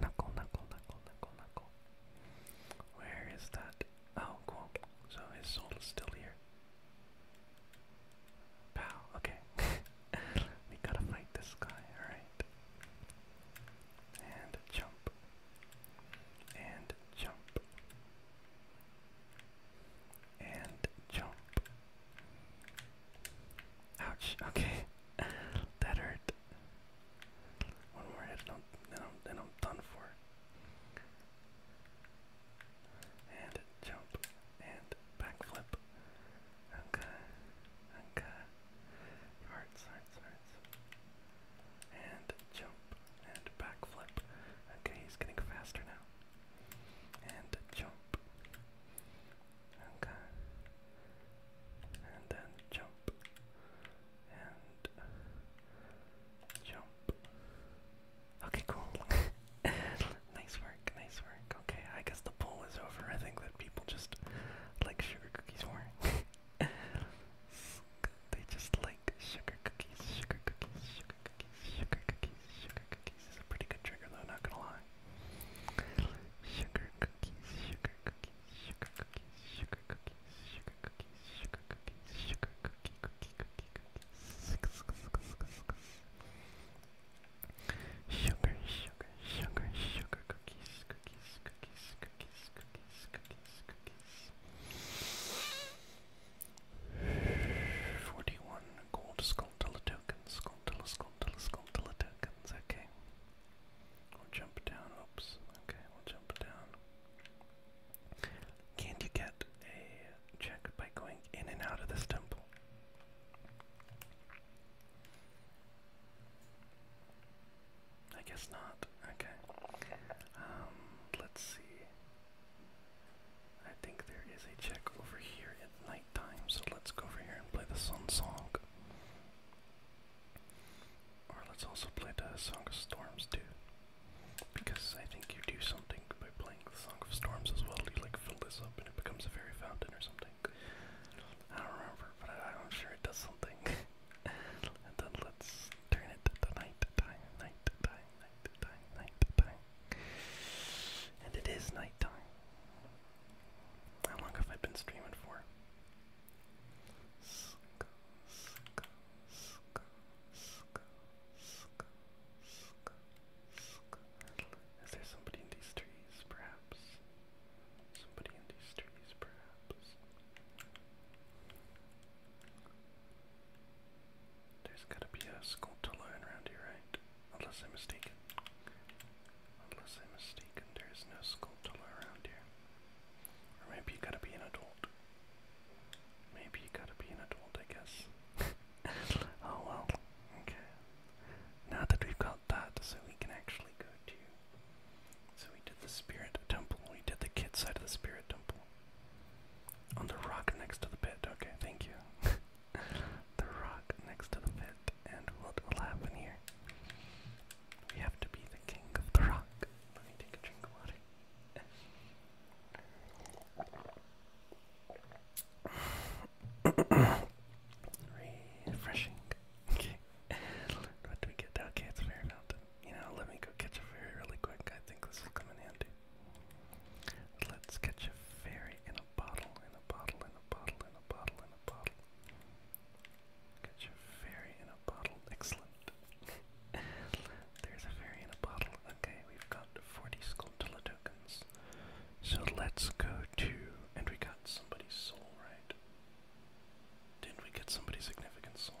Knuckle, knuckle, knuckle, knuckle, knuckle. Where is that? Oh, So his soul is still here. Pow. Okay. we gotta fight this guy. Alright. And jump. And jump. And jump. Ouch, okay. that One more hit, and I'm, then, I'm, done for. And jump. And backflip. Okay. Okay. Hearts, hearts, hearts. And jump and backflip. Okay, he's getting faster now. And jump. Okay. And then jump. And jump. Okay, cool. nice work, nice work. Okay, I guess the poll is over. I think that people just like sugar cookies more. They just like sugar cookies, sugar cookies, sugar sugar cookies, sugar cookies, sugar cookies is a pretty good trigger though, not gonna lie. Sugar cookies, sugar cookies, sugar cookies, sugar cookies, sugar cookies, sugar cookies, sugar cookie, cookie, cookie, cookies. Sugar, sugar, sugar, sugar cookies, cookies, cookies, cookies, cookies, cookies, cookies. 41 gold Skulltula tokens, Skulltula, Skulltula, Skulltula tokens, okay. We'll jump down, oops, okay, we'll jump down. Can you get a check by going in and out of this temple? I guess not. Okay. Um, let's see. I think there is a check over here at nighttime, so let's go over here and play the sun song. Or let's also play the Song of Storms too. Because I think you do something by playing the Song of Storms as well. You like fill this up and it becomes a fairy fountain or something. I don't remember, but I, am sure it does something. then let's turn it to the night time night time, night time. And it is night time. How long have I been streaming for? Is there somebody in these trees, perhaps? Somebody in these trees, perhaps. There's gotta be a Skulltula around here, right? Unless I'm mistaken. Unless I'm mistaken, there is no Skulltula around here. Or maybe you gotta be an adult. Maybe you gotta be an adult, I guess. oh well, okay. Now that we've got that, so we can actually go to. So we did the Spirit Temple, we did the kid side of the Spirit Temple. On the rock next to the pit. Okay, thank you. the rock next to the pit. And what will happen here? We have to be the king of the rock. Let me take a drink of water. Refreshing. Okay. What do we get? Okay, it's a You know, let me go catch a fairy really quick. I think this will come in handy. Let's catch a fairy in a bottle, in a bottle, in a bottle, in a bottle, in a bottle. Catch a fairy in a bottle. Excellent. There's a fairy in a bottle. Okay, we've got 40 Sculptula tokens. So let's go to. And we got somebody's soul, right? Didn't we get somebody's significant soul?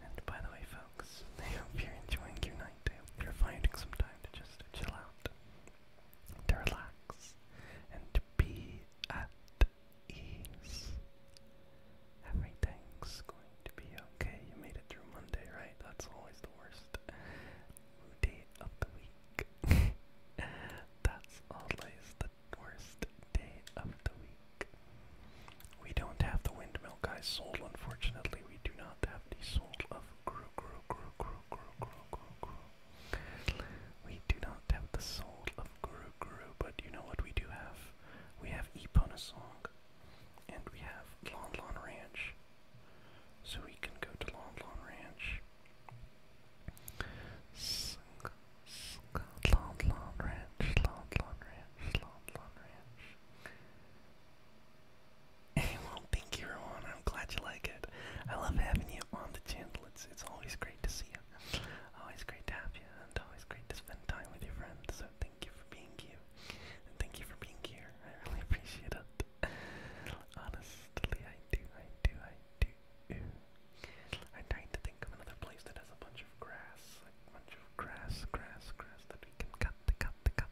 and by the way, folks, I hope you're enjoying your night. I hope you're finding some time to just chill out, to relax, and to be at ease. Everything's going to be okay. You made it through Monday, right? That's always the worst day of the week. That's always the worst day of the week. We don't have the windmill guy's soul, unfortunately. We do not have the soul of Gru Gru Gru Gru Gru Gru Gru Gru. We do not have the soul of Guru Guru, but you know what we do have? We have Epona Song, and we have Lon Lon Ranch. So we can go to Lon Lon Ranch. Sing, sing, Lon Lon Ranch, Lon Lon Ranch, Lon Lon Ranch well, thank you, everyone. I'm glad you like it. I love having you on the channel. It's it's always great to see you. Always great to have you, and always great to spend time with your friends. So thank you for being you, and thank you for being here. I really appreciate it. Honestly, I do, I do, I do. I tried to think of another place that has a bunch of grass, a bunch of grass, grass, grass that we can cut, cut, cut,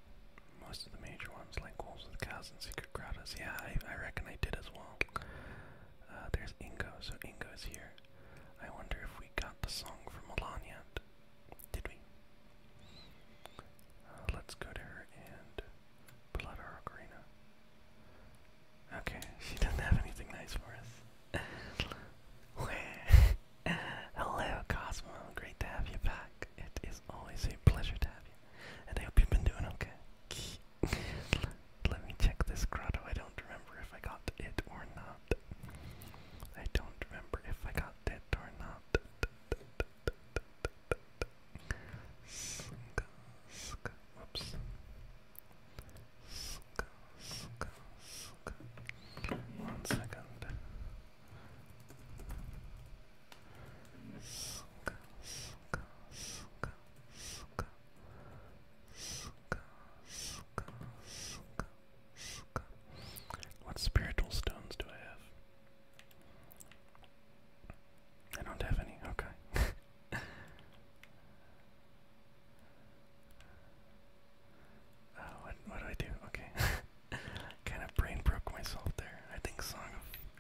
Most of the major ones, like Wolves with Cows and Secret Grottos. Yeah, I, reckon I did as well. Uh, there's Ingo, so Ingo's here. I wonder if we got the song from Milan yet. Did we? Uh, let's go to her and blood out our ocarina. Okay, she doesn't have anything nice for us. Hello, Cosmo. Great to have you back. It is always a pleasure to have you and I hope you've been doing okay. Let me check this grotto. I don't remember if I got it or not. I don't remember if I got it or not. One second. What spiritual stones do I have? I don't have any. Okay. Uh, what, what do I do? Okay. kind of brain broke myself there. I think Song of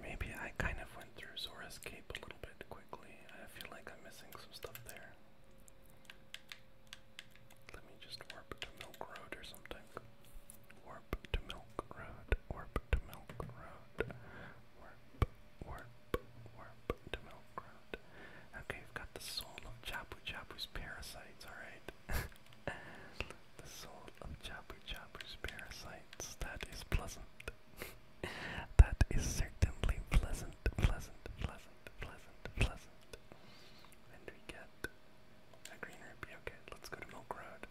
Maybe I kind of went through Zora's a little bit quickly. I feel like I'm missing some stuff there. Let me just warp to Milk Road or something. Warp to Milk Road. Warp to Milk Road. Warp, warp, warp to Milk Road. Okay, we've got the soul of Chapu Chapu's parasites, alright. the soul of Chapu Chapu's parasites. That is pleasant. that is certainly pleasant, pleasant, pleasant, pleasant, pleasant. And we get a green rupee. Okay, let's go to Milk Road.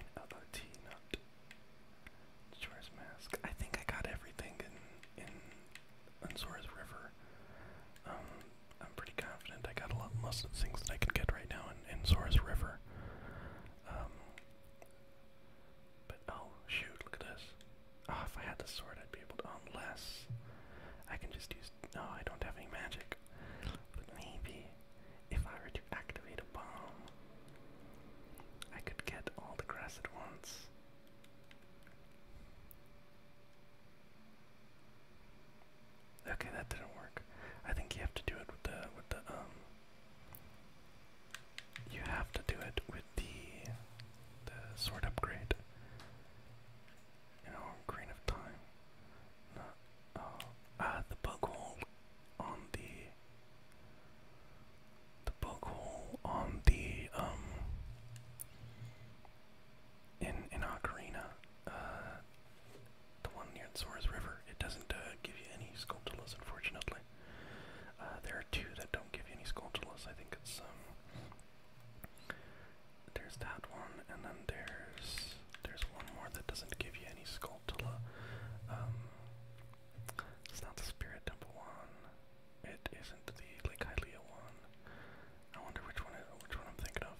In LOT, not Chores Mask. I think I got everything in in Unsora's River. Um, I'm pretty confident I got a lot most things that I can get right now in, in Sora's River. Um, but oh shoot, look at this. Oh, if I had the sword, I'd be able to. Unless um, I can just use. No, I don't have any magic. But maybe if I were to activate a bomb, I could get all the grass at once. Okay, that didn't work. I think you have to do it with the with the um you have to do it with the the sword upgrade. You know, grain of time. Not oh uh ah, the bug hole on the the bug hole on the um in in Ocarina, uh, the one near the Sora's River. It doesn't uh, give you any sculptulas, unfortunately. Uh, there are two that don't give you any sculptulas. I think it's um, there's that one, and then there's there's one more that doesn't give you any sculptula. Um, it's not the Spirit number one. It isn't the Lake Hylia one. I wonder which one is which one I'm thinking of.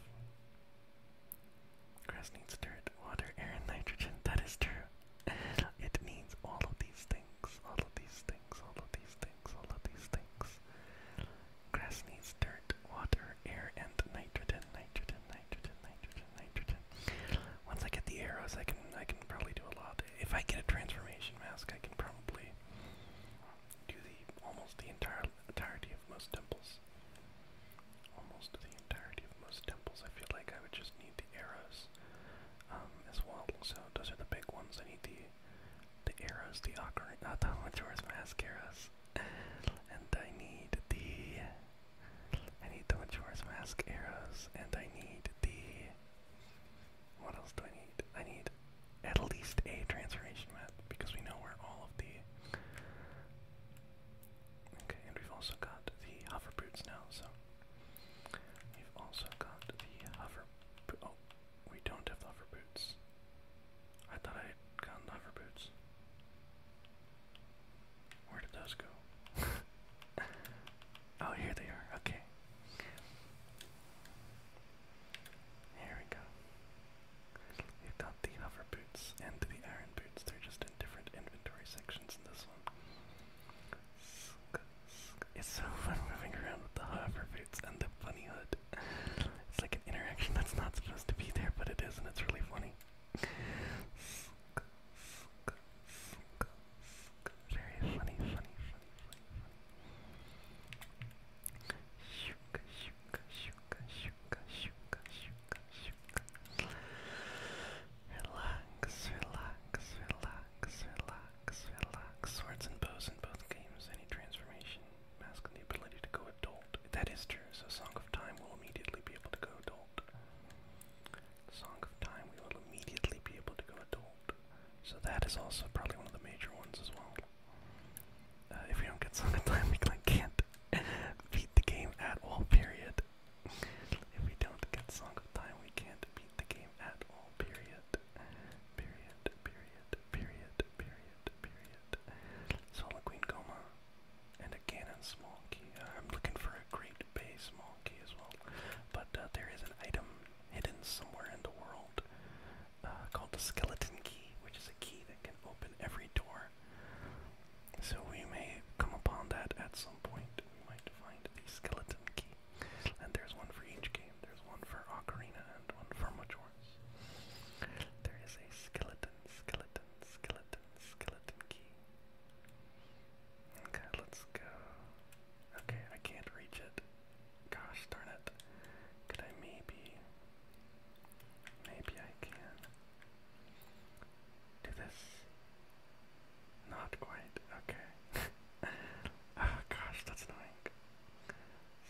Grass needs dirt, water, air, and nitrogen. That is true. it needs all of these things. All of these things. All of these things. All of these things. Grass needs dirt, water, air, and nitrogen. Nitrogen. Nitrogen. Nitrogen. Nitrogen. Once I get the arrows, I can I can probably do a lot. If I get a transformation mask, I can probably to the almost the entire entirety of most temples. Almost the entirety of most temples. I feel like I would just need the arrows um, as well. So those are the big ones. I need the the arrows, the ocarina, not uh, the Majora's Mask arrows, and I need the I need the Majora's Mask arrows, and I need the what else do I need? I need at least a transformation map because we know where all of the. Okay, and we've also got the hover boots now, so. We've also got the hover. Oh, we don't have hover boots. I thought I had gotten the hover boots. Where did those go? oh, here they are. Okay. Here we go. We've got the hover boots and the iron boots. They're just in different inventory sections in this one. It's so fun moving around with the hover boots and the funny hood. It's like an interaction that's not supposed to be there, but it is, and it's really funny very funny, funny, funny, funny, funny. Shuka, shuka, shuka, shuka, shuka, shuka, shuka. Relax, relax, relax, relax, relax. Swords and bows in both games. Any transformation masking the ability to go adult. That is true. So Song of Time will immediately be able to go adult. Song of Time, will immediately be able to go adult. So that is also probably one of the major ones as well. Uh, if we don't get sung at time, we can't beat the game at all, period. if we don't get sung at time, we can't beat the game at all, period. Period, period, period, period, period. So Queen Coma and a Cannon Small Key. Uh, I'm looking for a Great Bay Small Key as well. But uh, there is an item hidden somewhere in the world uh, called the skeleton key, which is a key that can open every door. So we may come upon that at some point. We might find the skeleton key. And there's one for each game. There's one for Ocarina and one for Majora's. There is a skeleton, skeleton, skeleton, skeleton key. Okay, let's go. Okay, I can't reach it. Gosh darn it. Could I maybe. Maybe I can. Do this. Not quite. Okay. oh gosh, that's annoying.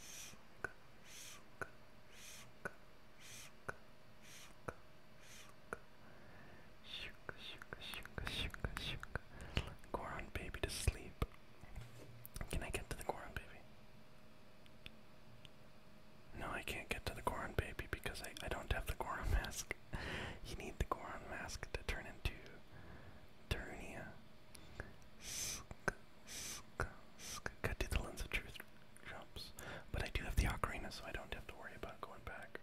Suck, suck, suck, suck, suck, suck. Shook, shook, shook, shook, shook. Goron baby to sleep. Can I get to the Goron baby? No, I can't get to the Goron baby because I, I don't have the Goron mask. you need the Goron mask to turn into Tarunia. Cut to the lens of truth jumps. But I do have the ocarina, so I don't have to worry about going back.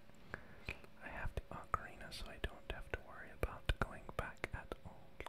I have the ocarina, so I don't have to worry about going back at all.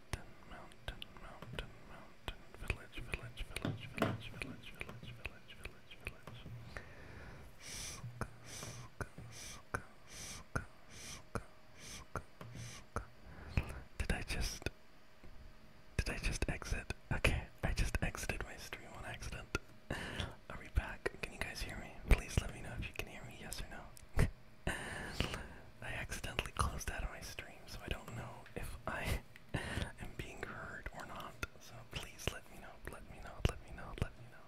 mountain, mountain, mountain, mountain, village, village, village, village, village, village, village, village, village. Did I just did I just exit? Okay, I just exited my stream on accident. Are we back? Can you guys hear me? Please let me know if you can hear me, yes or no. I accidentally closed out of my stream, so I don't know if I am being heard or not. So please let me know, let me know, let me know, let me know.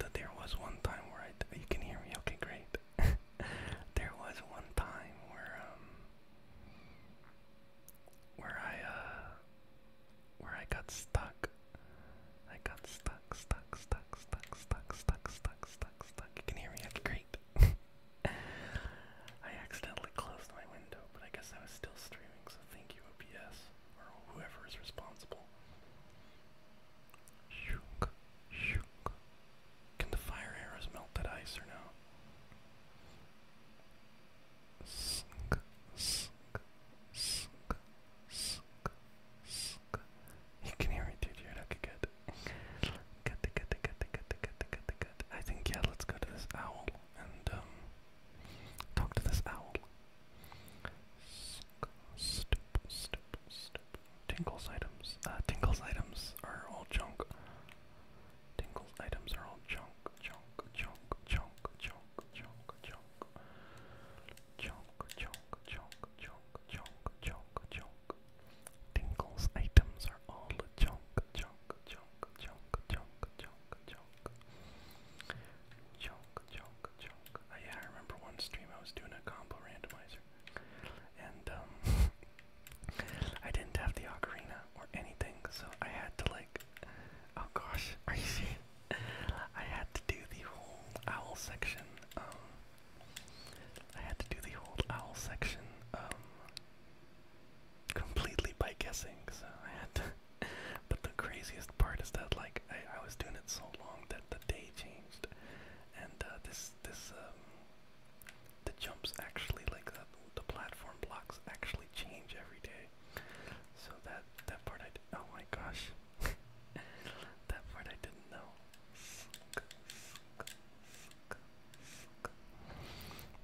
That there was one time where I you can hear me. Okay, great. there was one time where um where I uh where I got stuck. I got stuck, stuck, stuck, stuck, stuck, stuck, stuck, stuck, stuck. You can hear me. That's I accidentally closed my window, but I guess I was still streaming, so thank you, OBS, or whoever is responsible. Shook, shook. Can the fire arrows melt that ice or no? You can hear me, dude. You're not good. Cut the cut the cut the cut the cut the cut the cut. I think yeah, let's go to this owl and um talk to this owl. Stoop, stoop, stoop. Tingles items. Uh, tingles items are all junk. Tingles items are all junk, junk, junk, junk, junk, junk, junk. Junk, junk, junk, junk, junk, junk, junk. Tingle's items are all junk, junk, junk, junk, junk, junk, junk. Junk, junk, junk. Uh, yeah, I remember one stream I was doing a combo randomizer. And um I didn't have the ocarina or anything, so I had to like oh gosh, are you serious? I had to do the whole owl section, um, I had to do the whole owl section um, completely by guessing, so I had to. but the craziest part is that like I, I was doing it so long that the day changed, and uh, this this um, the jumps actually like the, the platform blocks actually change every day, so that that part I oh my gosh. that part I didn't know.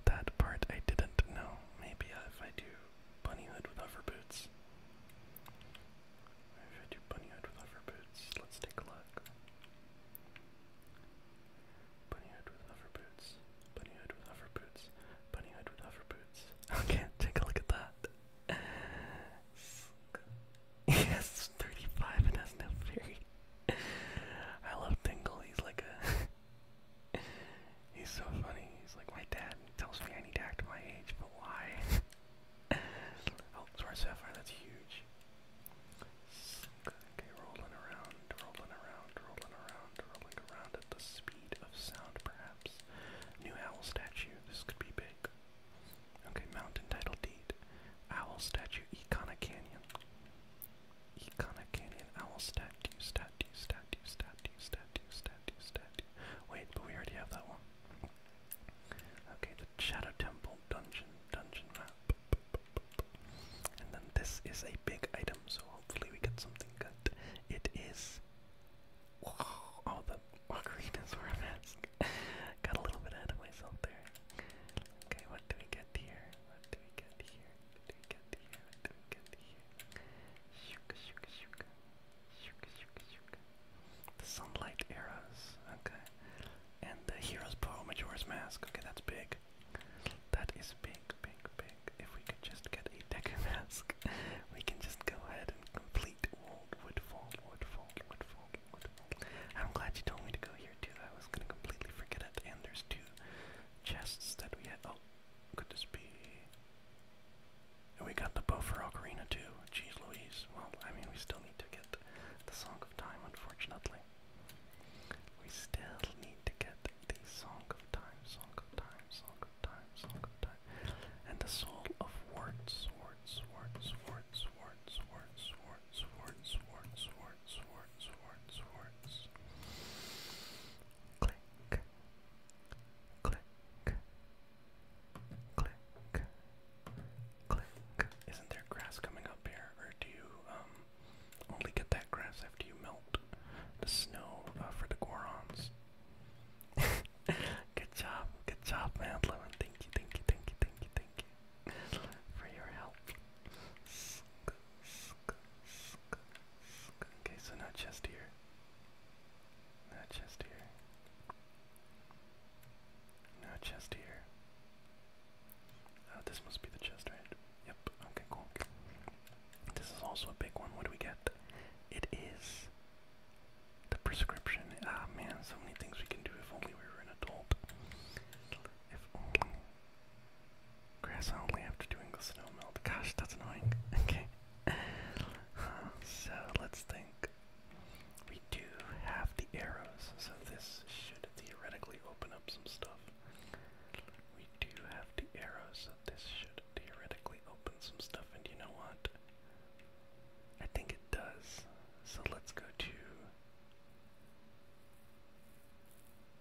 That part I didn't know. Maybe if I do bunny hood with hover boots. If I do bunny hood with hover boots, let's take a look. Bunny hood with hover boots. Bunny hood with hover boots. Bunny hood with hover boots. Okay, take a look at that. yes, 35 and has no fairy I love Tingle. He's like a. he's so funny. He's like my dad tells me I need to act my age, but why? oh, Star Sapphire, that's huge. Okay, rolling around, rolling around, rolling around, rolling around at the speed of sound, perhaps. New owl statue. This could be big. Okay, mountain title deed. Owl statue, Econa Canyon. Econa Canyon Owl Statue, Statue, Statue, Statue, Statue, Statue, Statue. Wait, but we already have that one. Okay, the Shadow Temple Dungeon, Dungeon Map. And then this is a big item, so hopefully we get something good. It is. Wow, oh, the margaritas were a mess. Got a little bit ahead of myself there. Okay, what do we get here? What do we get here? What do we get here? What do we get here? Shuka, shuka, shuka. Shuka, shuka, shuka. The sunlight arrows. Okay. And the hero's pearl Majora's mask. Okay, that's big. That is big, big, big. If we could just get a deck mask, we can just go ahead and complete Woodfall, Woodfall, Woodfall, Woodfall. I'm glad you told me to go here too. I was gonna completely forget it. And there's two chests that we had. Oh, could this be? And we got the bow too. Jeez Louise. Well, I mean, we still need to get the Song of Time, unfortunately. We still need to get the Song of Time, Song of Time, Song of Time, Song of Time. And the Soul of Warts, Warts, Warts, Warts, Warts, Warts, Warts swords, swords, swords, swords, swords, swords, swords. Click, click, click, click. Isn't there grass coming up here, or do you um only get that grass after you melt the snow uh, for the Gorons? good job, good job, man, Thank you, thank you, thank you, thank you, thank you for your help. Okay, so no chest here. No chest here. No chest here. Oh, this must be the chest, right? Yep, okay, cool. This is also a big one. What do we get? It is the prescription. Ah, man, so many things we can do if only we were an adult. If only Grass only after doing the snow melt. Gosh, that's annoying. Okay. Uh, so let's think. We do have the arrows, so this should theoretically open up some stuff. We do have the arrows, so this should theoretically open some stuff, and you know what? I think it does. So let's go to.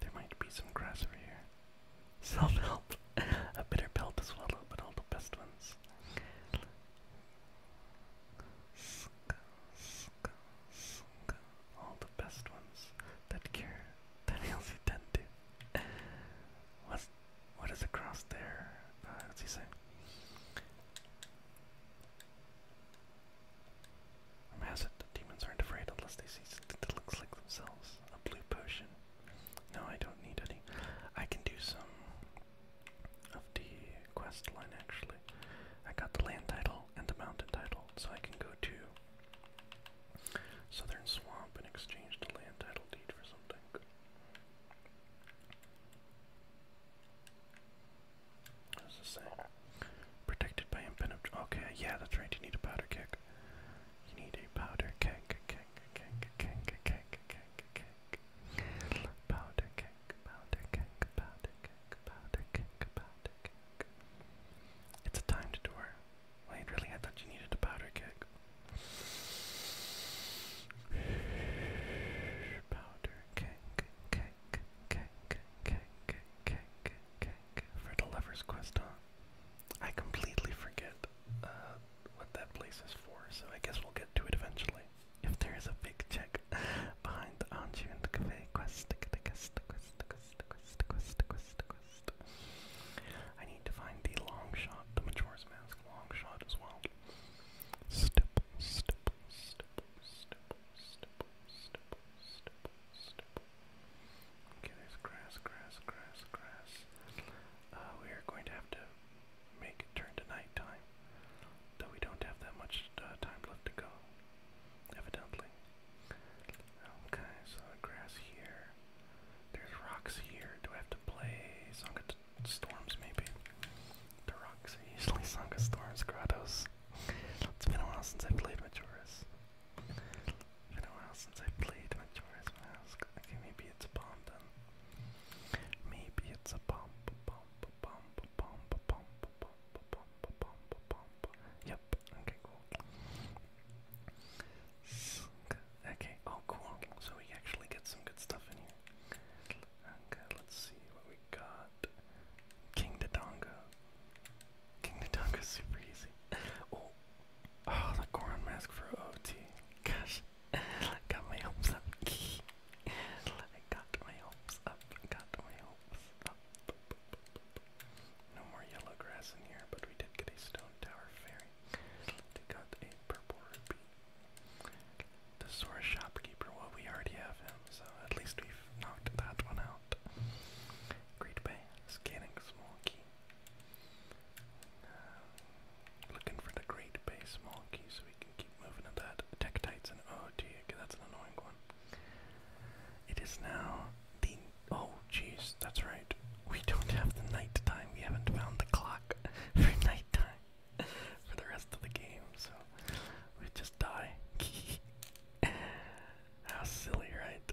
There might be some grass over here. Self-help. A bitter pill to swallow, but all the best ones. All the best ones that cure that heals you tend to. What's, what is across there? Uh, what's he say? I'm it that demons aren't afraid unless they see something that looks like themselves. A blue potion. No, I don't need any. I can do some of the quest line actually. I got the land title and the mountain title, so I can go to Southern Swamp and exchange the land title deed for something. What does say? Protected by infinite. Okay, yeah, that's right. You need a powder keg. You need a powder keg, keg, keg, keg, keg, keg, keg. Powder keg, powder keg, powder keg, powder keg, powder keg. It's a timed door. Wait, really? I thought you needed a powder keg. Powder keg, keg, keg, cake, cake, cake, cake for the Lover's Quest, huh? I completely forget uh, what that place is for, so I guess we'll get to it eventually. If there is a big check behind the Anju and the Cafe quest, the quest, the quest, the quest, the quest, the quest, the quest, the quest. I need to find the long shot, the Majora's Mask long shot as well. Stipple, stipple, stipple, stipple, stipple, stipple, stipple, stipple, Okay, there's grass, grass, grass, grass. Uh, we are going to have to make it turn to nighttime, though we don't have that much uh, time left to go, evidently. Okay, so grass here. There's rocks here. Do I have to play Song of Storms, maybe? The rocks are usually Song of Storms, Grottos. it's been a while since I played Majora's. It's been a while since I played Majora's Mask. Okay, maybe it's a bomb then. Maybe it's a bomb, bomb, bomb, bomb, bomb, bomb, bomb, bomb, bomb. Yep. Okay, cool. Okay. Oh, cool. So we actually get some good stuff in here. Okay, let's see what we got. King Dodongo. King the Dunk is super easy. Oh, oh the Goron mask for OT. Gosh, got my hopes up. got my hopes up. Got my hopes up. No more yellow grass in here, but we did get a stone tower fairy. They got a purple ruby. The Sora shopkeeper. Well, we already have him, so at least we've knocked that one out. Great Bay scanning small key. Um, looking for the great bay small key so we can keep moving at that. Tektites and oh dear, that's an annoying one. It is now the oh jeez, that's right. We don't have the night time. We haven't found the clock for night time for the rest of the game, so we just die. How silly, right?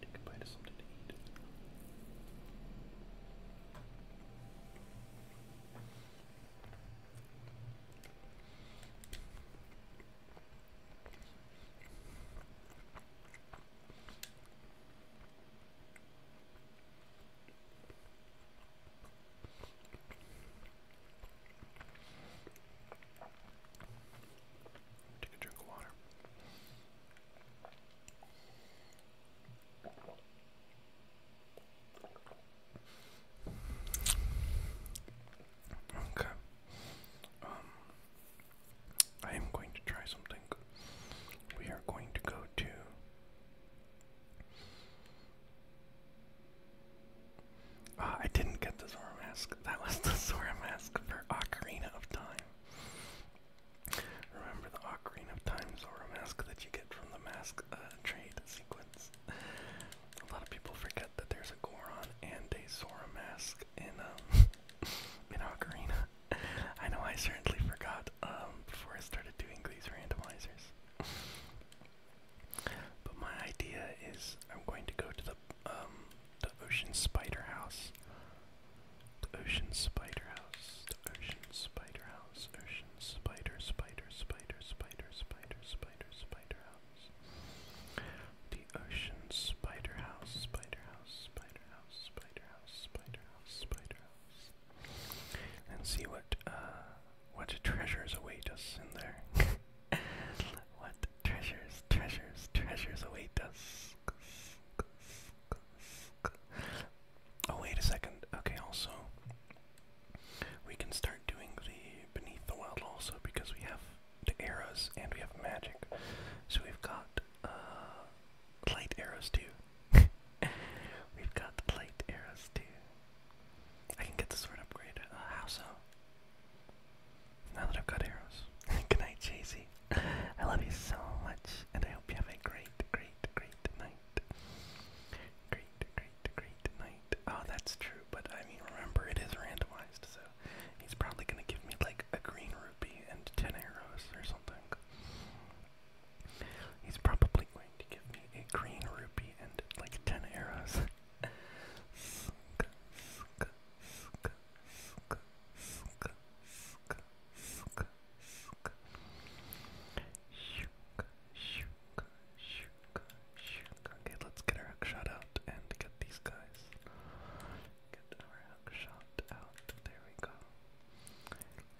Take a bite of something to eat. Take a drink of water. Okay. Um, I am going to try something. We are going to go to. Uh, I didn't get the Zora mask. That was the Zora mask for Ocarina of Time. Remember the Ocarina of Time Zora mask that you get from the mask uh, trade sequence. A lot of people forget that there's a Goron and a Zora mask in um in Ocarina. I know I certainly forgot um, before I started doing these randomizers. But my idea is I'm going to go to the um, the Ocean Spider House the Ocean Spider House. The Ocean Spider House. Ocean Spider Spider Spider Spider Spider Spider Spider House. The Ocean Spider House. Spider House. Spider House. Spider House. Spider House. Spider House. And see what uh what treasures await us in there. what treasures, treasures, treasures await us. Oh wait a second. Okay, also we can start doing the beneath the world also because we have the arrows and we have magic. So we've got uh light arrows too. we've got the light arrows too. I can get the sword upgrade. Uh, how so? Now that I've got arrows. Good night, JC. I love you so much, and I hope you have a great, great, great night. Great, great, great night. Oh, that's true, but I mean, remember, it is randomized, so he's probably gonna give me like a green rupee and 10 arrows or something. He's probably going to give me a green rupee and like 10 arrows. Okay, let's get our hook shot out and get these guys. Get our hook shot out. There we go.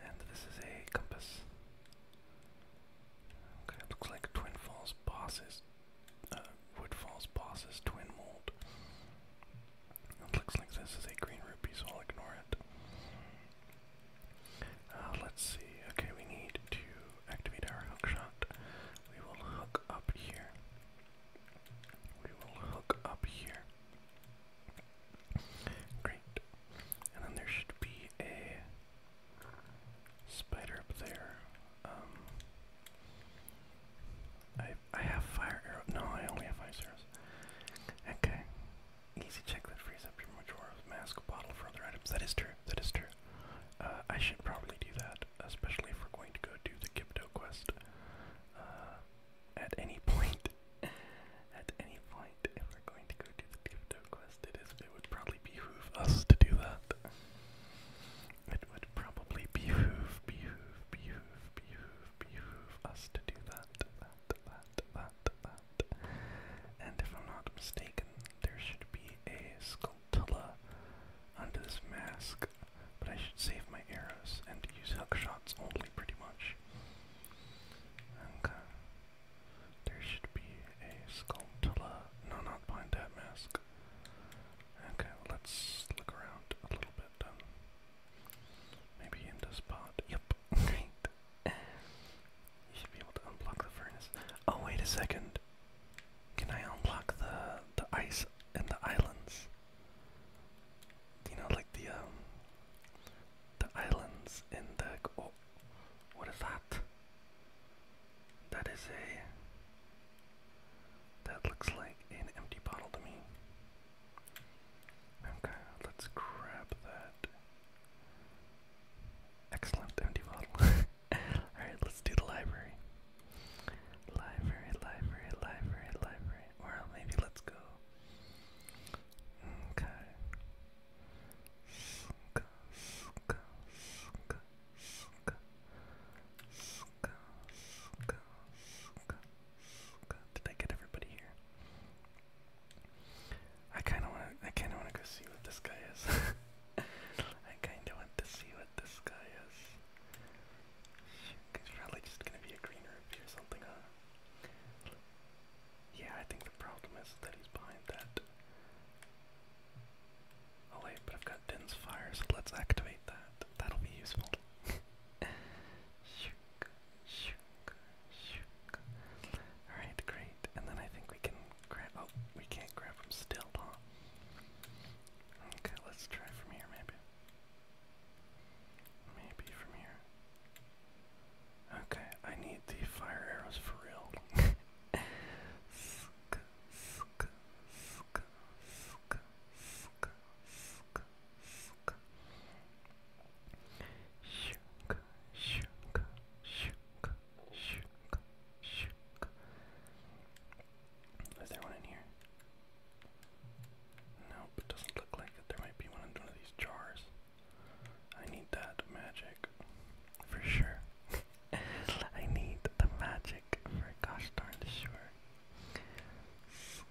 And this is a compass. Okay, looks like Twin Falls bosses, uh, Wood Falls bosses, Twin Mold. It looks like this is a green rupee, so I'll ignore it. Uh, let's see. Okay, we need to activate our hook We will hook up here. We will hook up here. Great. And then there should be a spider up there. Um, I I have fire arrow. No, I only have ice arrows. Okay. Easy check that frees up your Majora's Mask bottle for other items. That is true. That is true. Uh, I should probably do that, especially if we're going to go do the Gibdo quest. Uh, at any point. at any point, if we're going to go do the Gibdo quest, it is. It would probably behoove us to do that. It would probably behoove, behoove, behoove, behoove, behoove us to do that. Uh, and if I'm not mistaken, there should be a Skulltula under this mask, but I should save my arrows and use hook shots only pretty much. Okay. There should be a Skulltula. No, not behind that mask. Okay, let's look around a little bit. Maybe in this spot. Yep. Great. you should be able to unblock the furnace. Oh wait a second. Can I unlock the the ice and the islands? You know, like the um, the islands in the oh, what is that? That is a that looks like an empty bottle to me. Okay, let's grab that. Excellent, empty bottle. Alright, let's do the library. Library, library, library, library. Or maybe let's go. Okay. Ska, ska, ska, ska. Ska, ska, ska. Did I get everybody here? I kind of want. I kind of want to go see what this guy is. I kind of want to see what this guy is. It's probably just gonna be a green rupee or something, huh? Yeah, I think the problem is that he's behind that. Oh wait, but I've got Din's fire, so let's activate that. That'll be useful. Alright, great. And then I think we can grab. Oh, we can't grab them still, huh? Okay, let's try from here, maybe. Maybe from here. Okay, I need the fire arrows for real. Is there one in here? Nope, it doesn't look like it. There might be one in one of these jars. I need that magic for sure. I need the magic for gosh darn sure.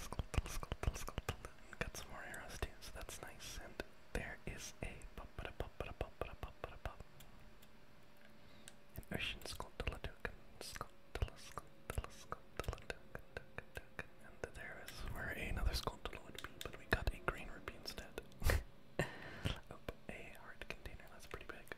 Got some more arrows too, so that's nice. And there is a ocean sculptuladucan, and there is where another sculptula would be, but we got a green ruby instead. a hard container, that's pretty big.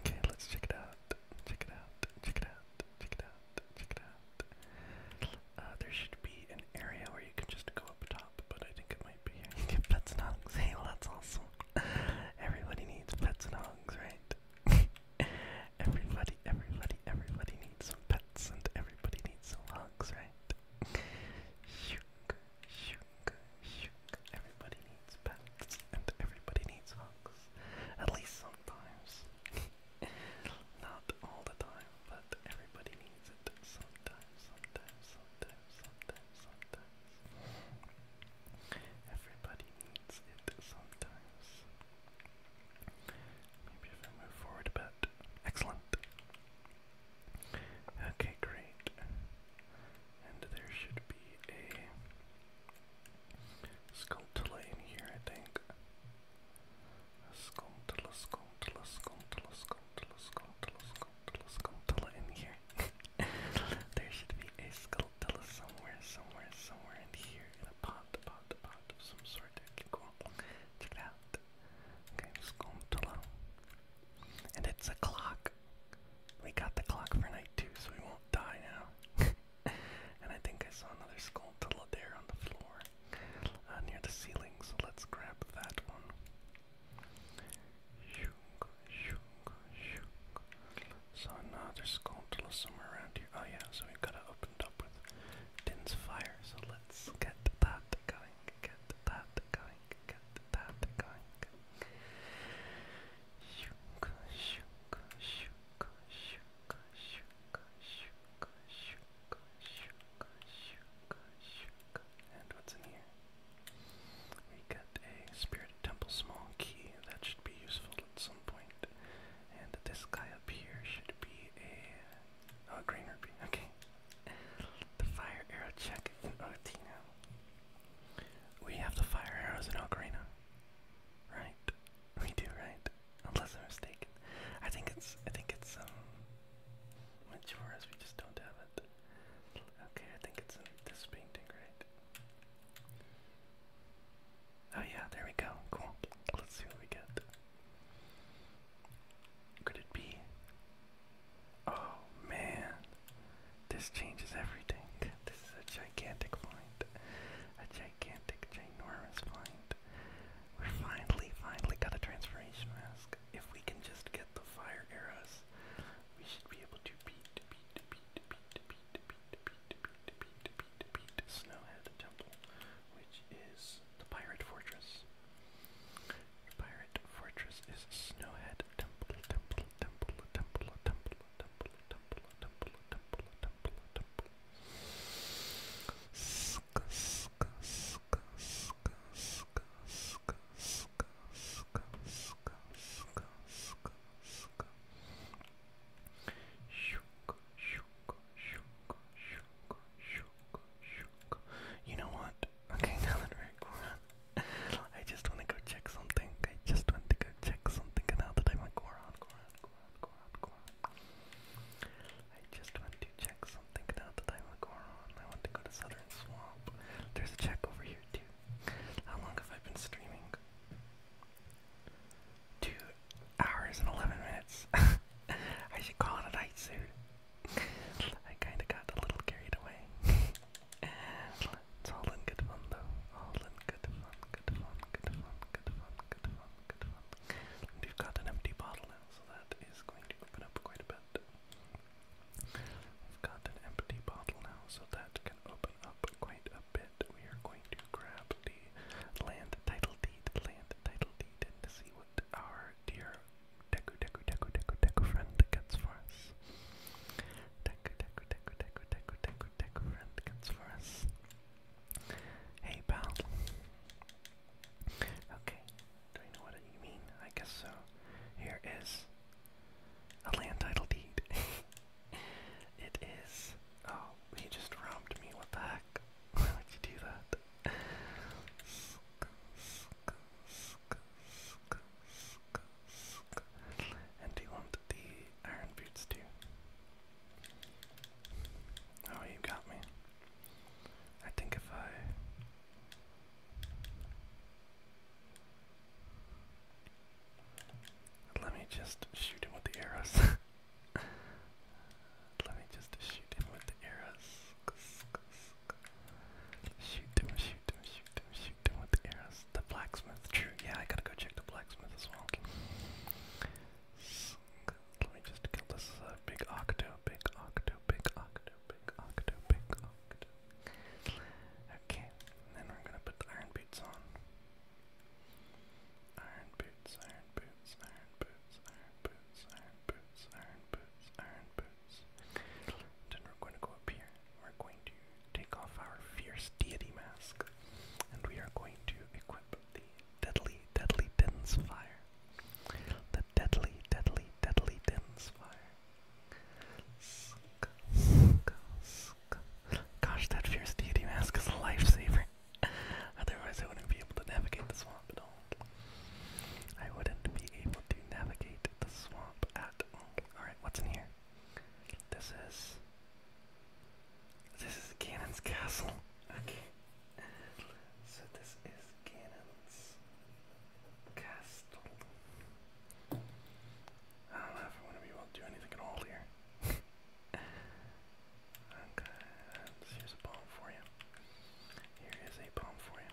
Okay, let's check it out. Check it out. Check it out. Check it out. Check it out. Uh, there should be an area where you can just go up top, but I think it might be here. get pets and Hey, that's awesome. Everybody needs pets and right? everybody, everybody, everybody needs some pets, and everybody needs some hogs, right? Shook, shook, Everybody needs pets, and everybody needs hugs. At least sometimes. Not all the time, but everybody needs it sometimes, sometimes, sometimes, sometimes, sometimes. Everybody needs it sometimes. Maybe if I move forward a bit. Excellent. Okay, great. And there should be a Skulltula in here, I think. Skulltula, skulltula, skulltula, skulltula, skulltula, skulltula, skulltula in here. there should be a skulltula somewhere, somewhere, somewhere in here, in a pot, pot, pot of some sort. Check it out. Okay, skulltula. And it's a clock. We got the clock for night two, so we won't die now. and I think I saw another skull till there on the floor uh, near the ceiling, so let's grab that one. So another skull somewhere around here. Oh yeah, so we've got to open up with Din's fire. So let's get that going, get that going, get that going. And what's in here? We got a Spirit Temple small key that should be useful at some point. And this guy up here should be a oh, green Okay. The fire arrow check in Otina. We have the fire arrows in Ocarina right? We do, right? Unless I'm mistaken. I think it's, I think it's, um, Majora's, we just don't have it. Okay, I think it's in this painting, right? Oh yeah, there we go, cool. Let's see what we get. Could it be? Oh man, this changes everything. This is a gigantic find. A gigantic, ginormous find. we finally, finally got a transformation mask. If we can just get the fire arrows, we should be able to beat, beat, beat, beat, beat, beat, beat, beat, beat, beat, beat, Snowhead Temple, which is the Pirate Fortress. The Pirate Fortress is Snowhead Temple, Temple, Temple, Temple, Temple, you know what? Okay, now that we're I just want to go check something. I just want to go check something out that I went Goron, Goron, Goron, Goron, I just went to check something out that I went I want to go to Southern Swamp. There's a check over here too. How long have I been streaming? Two hours and eleven minutes. I should call it a night soon. I kinda got a little carried away. It's all in good fun though. All in good fun, good fun, good fun, good fun, good fun, good fun. And we've got an empty bottle now, so that is going to open up quite a bit. We've got an empty bottle now, so that can open up quite a bit. We are going to grab the land title deed, land title deed, and to see what our dear Deku Deku Deku Deku Deku friend gets for us. Deku Deku Deku, Deku, Deku, Deku, Deku, Deku, Rentkins for us. Hey, pal. Okay, do I know what you mean? I guess so. Here is a land title deed. it is. Oh, he just robbed me. What the heck? Why would you do that? And do you want the iron boots too? Oh, you got me. I think if I. Let me just shoot him with the arrows. Let me just shoot him with the arrows. Shoot him, shoot him, shoot him, shoot him with the arrows the blacksmith. True. Yeah, I gotta go check the blacksmith as well. Let me just kill this uh, big octo, big octo, big octo, big octo, big octo. Okay, then we're gonna put the iron boots on. Iron boots, iron boots, iron boots, iron boots, iron boots, iron boots, iron boots. Then we're going to go up here. We're going to take off our fierce deity mask, and we are going to equip the deadly, deadly dense The deadly, deadly, deadly dense Gosh, that fierce deity mask is a lifesaver. Otherwise, I wouldn't be able to navigate the swamp at all. I wouldn't be able to navigate the swamp at all. Alright, what's in here? This is this is Ganon's castle. Okay. So this is Ganon's castle. I don't know if I'm to do anything at all here. okay, here's a bomb for you. Here is a bomb for you.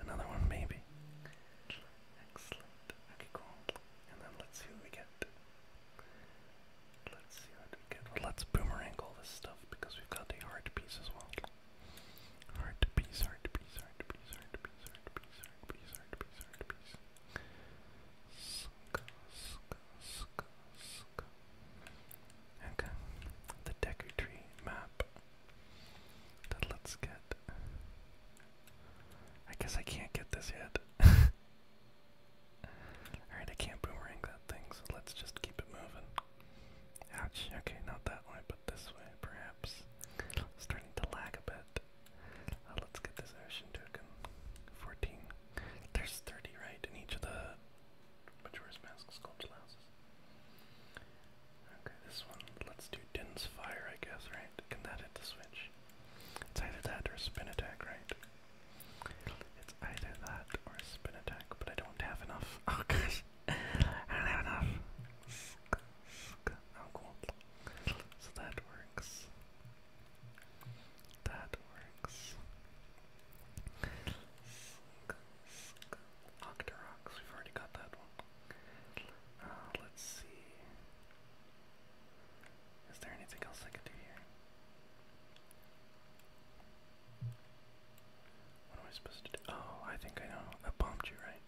Another one, maybe. Okay, cool. And then let's see what we get. Let's boomerang all this stuff because we've got the heart piece as well. Heart piece, heart piece, heart piece, heart piece, heart piece, heart piece, heart piece, heart piece. Okay. The Deku Tree map then let's get. I guess I can't get this yet. Alright, I can't boomerang that thing, so let's just keep it moving. Ouch, okay, not that way, but this way, perhaps. Starting to lag a bit. Uh, let's get this ocean token. 14. There's 30, right, in each of the Majora's Mask sculpt allows. Okay, this one, let's do dense fire, I guess, right? Can that hit the switch? It's either that or a spin attack, right? It's either that or a spin attack, but I don't have enough. Oh gosh, I don't have enough. Oh cool. So that works. That works. Octorox, we've already got that one. Uh, let's see. Is there anything else I could do here? What am I supposed to do? Oh, I think I know. A bomb tree, right?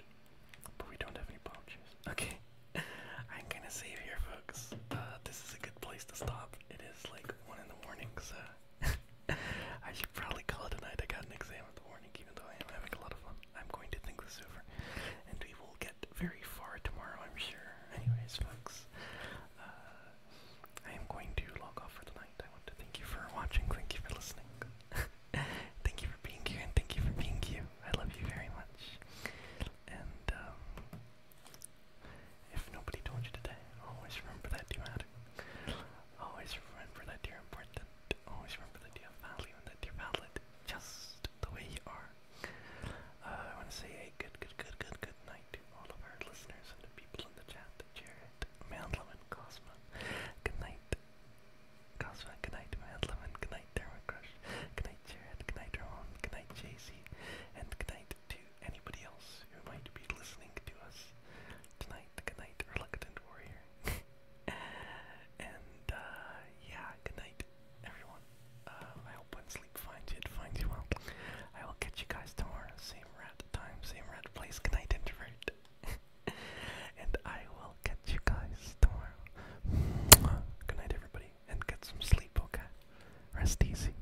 But we don't have any bomb trees. Okay. I'm gonna save here, folks. Uh, this is a good place to stop. It is like 1 in the morning, so I should probably call it a night. I got an exam in the morning, even though I am having a lot of fun. I'm going to think this over, and we will get very far tomorrow, I'm sure. Anyways, folks, uh, I am going to log off for the night. I want to thank you for watching, thank you for listening, thank you for being here, and thank you for being you. I love you very much. And um, if nobody told you today, always remember that you matter. Always remember that you're important. Always remember that you have value and that you're valid just the way you are. Uh, I want to say a good, good, good, good, good night to all of our listeners and the people in the chat. Jared, Mandlum, and Cosma. Good night, Cosma. Good night, Mandlum, and good night, Derma Crush. Good night, Jared. Good night, Ramon. Good night, JC. And good night to anybody else who might be listening to us tonight. Good night, Reluctant Warrior. and uh, yeah, good night, everyone. Um, I hope when sleep finds you, it finds you well. I will catch you guys tomorrow, same rat time, same rat place. Good night, introvert. and I will catch you guys tomorrow. good night, everybody, and get some sleep, okay? Rest easy.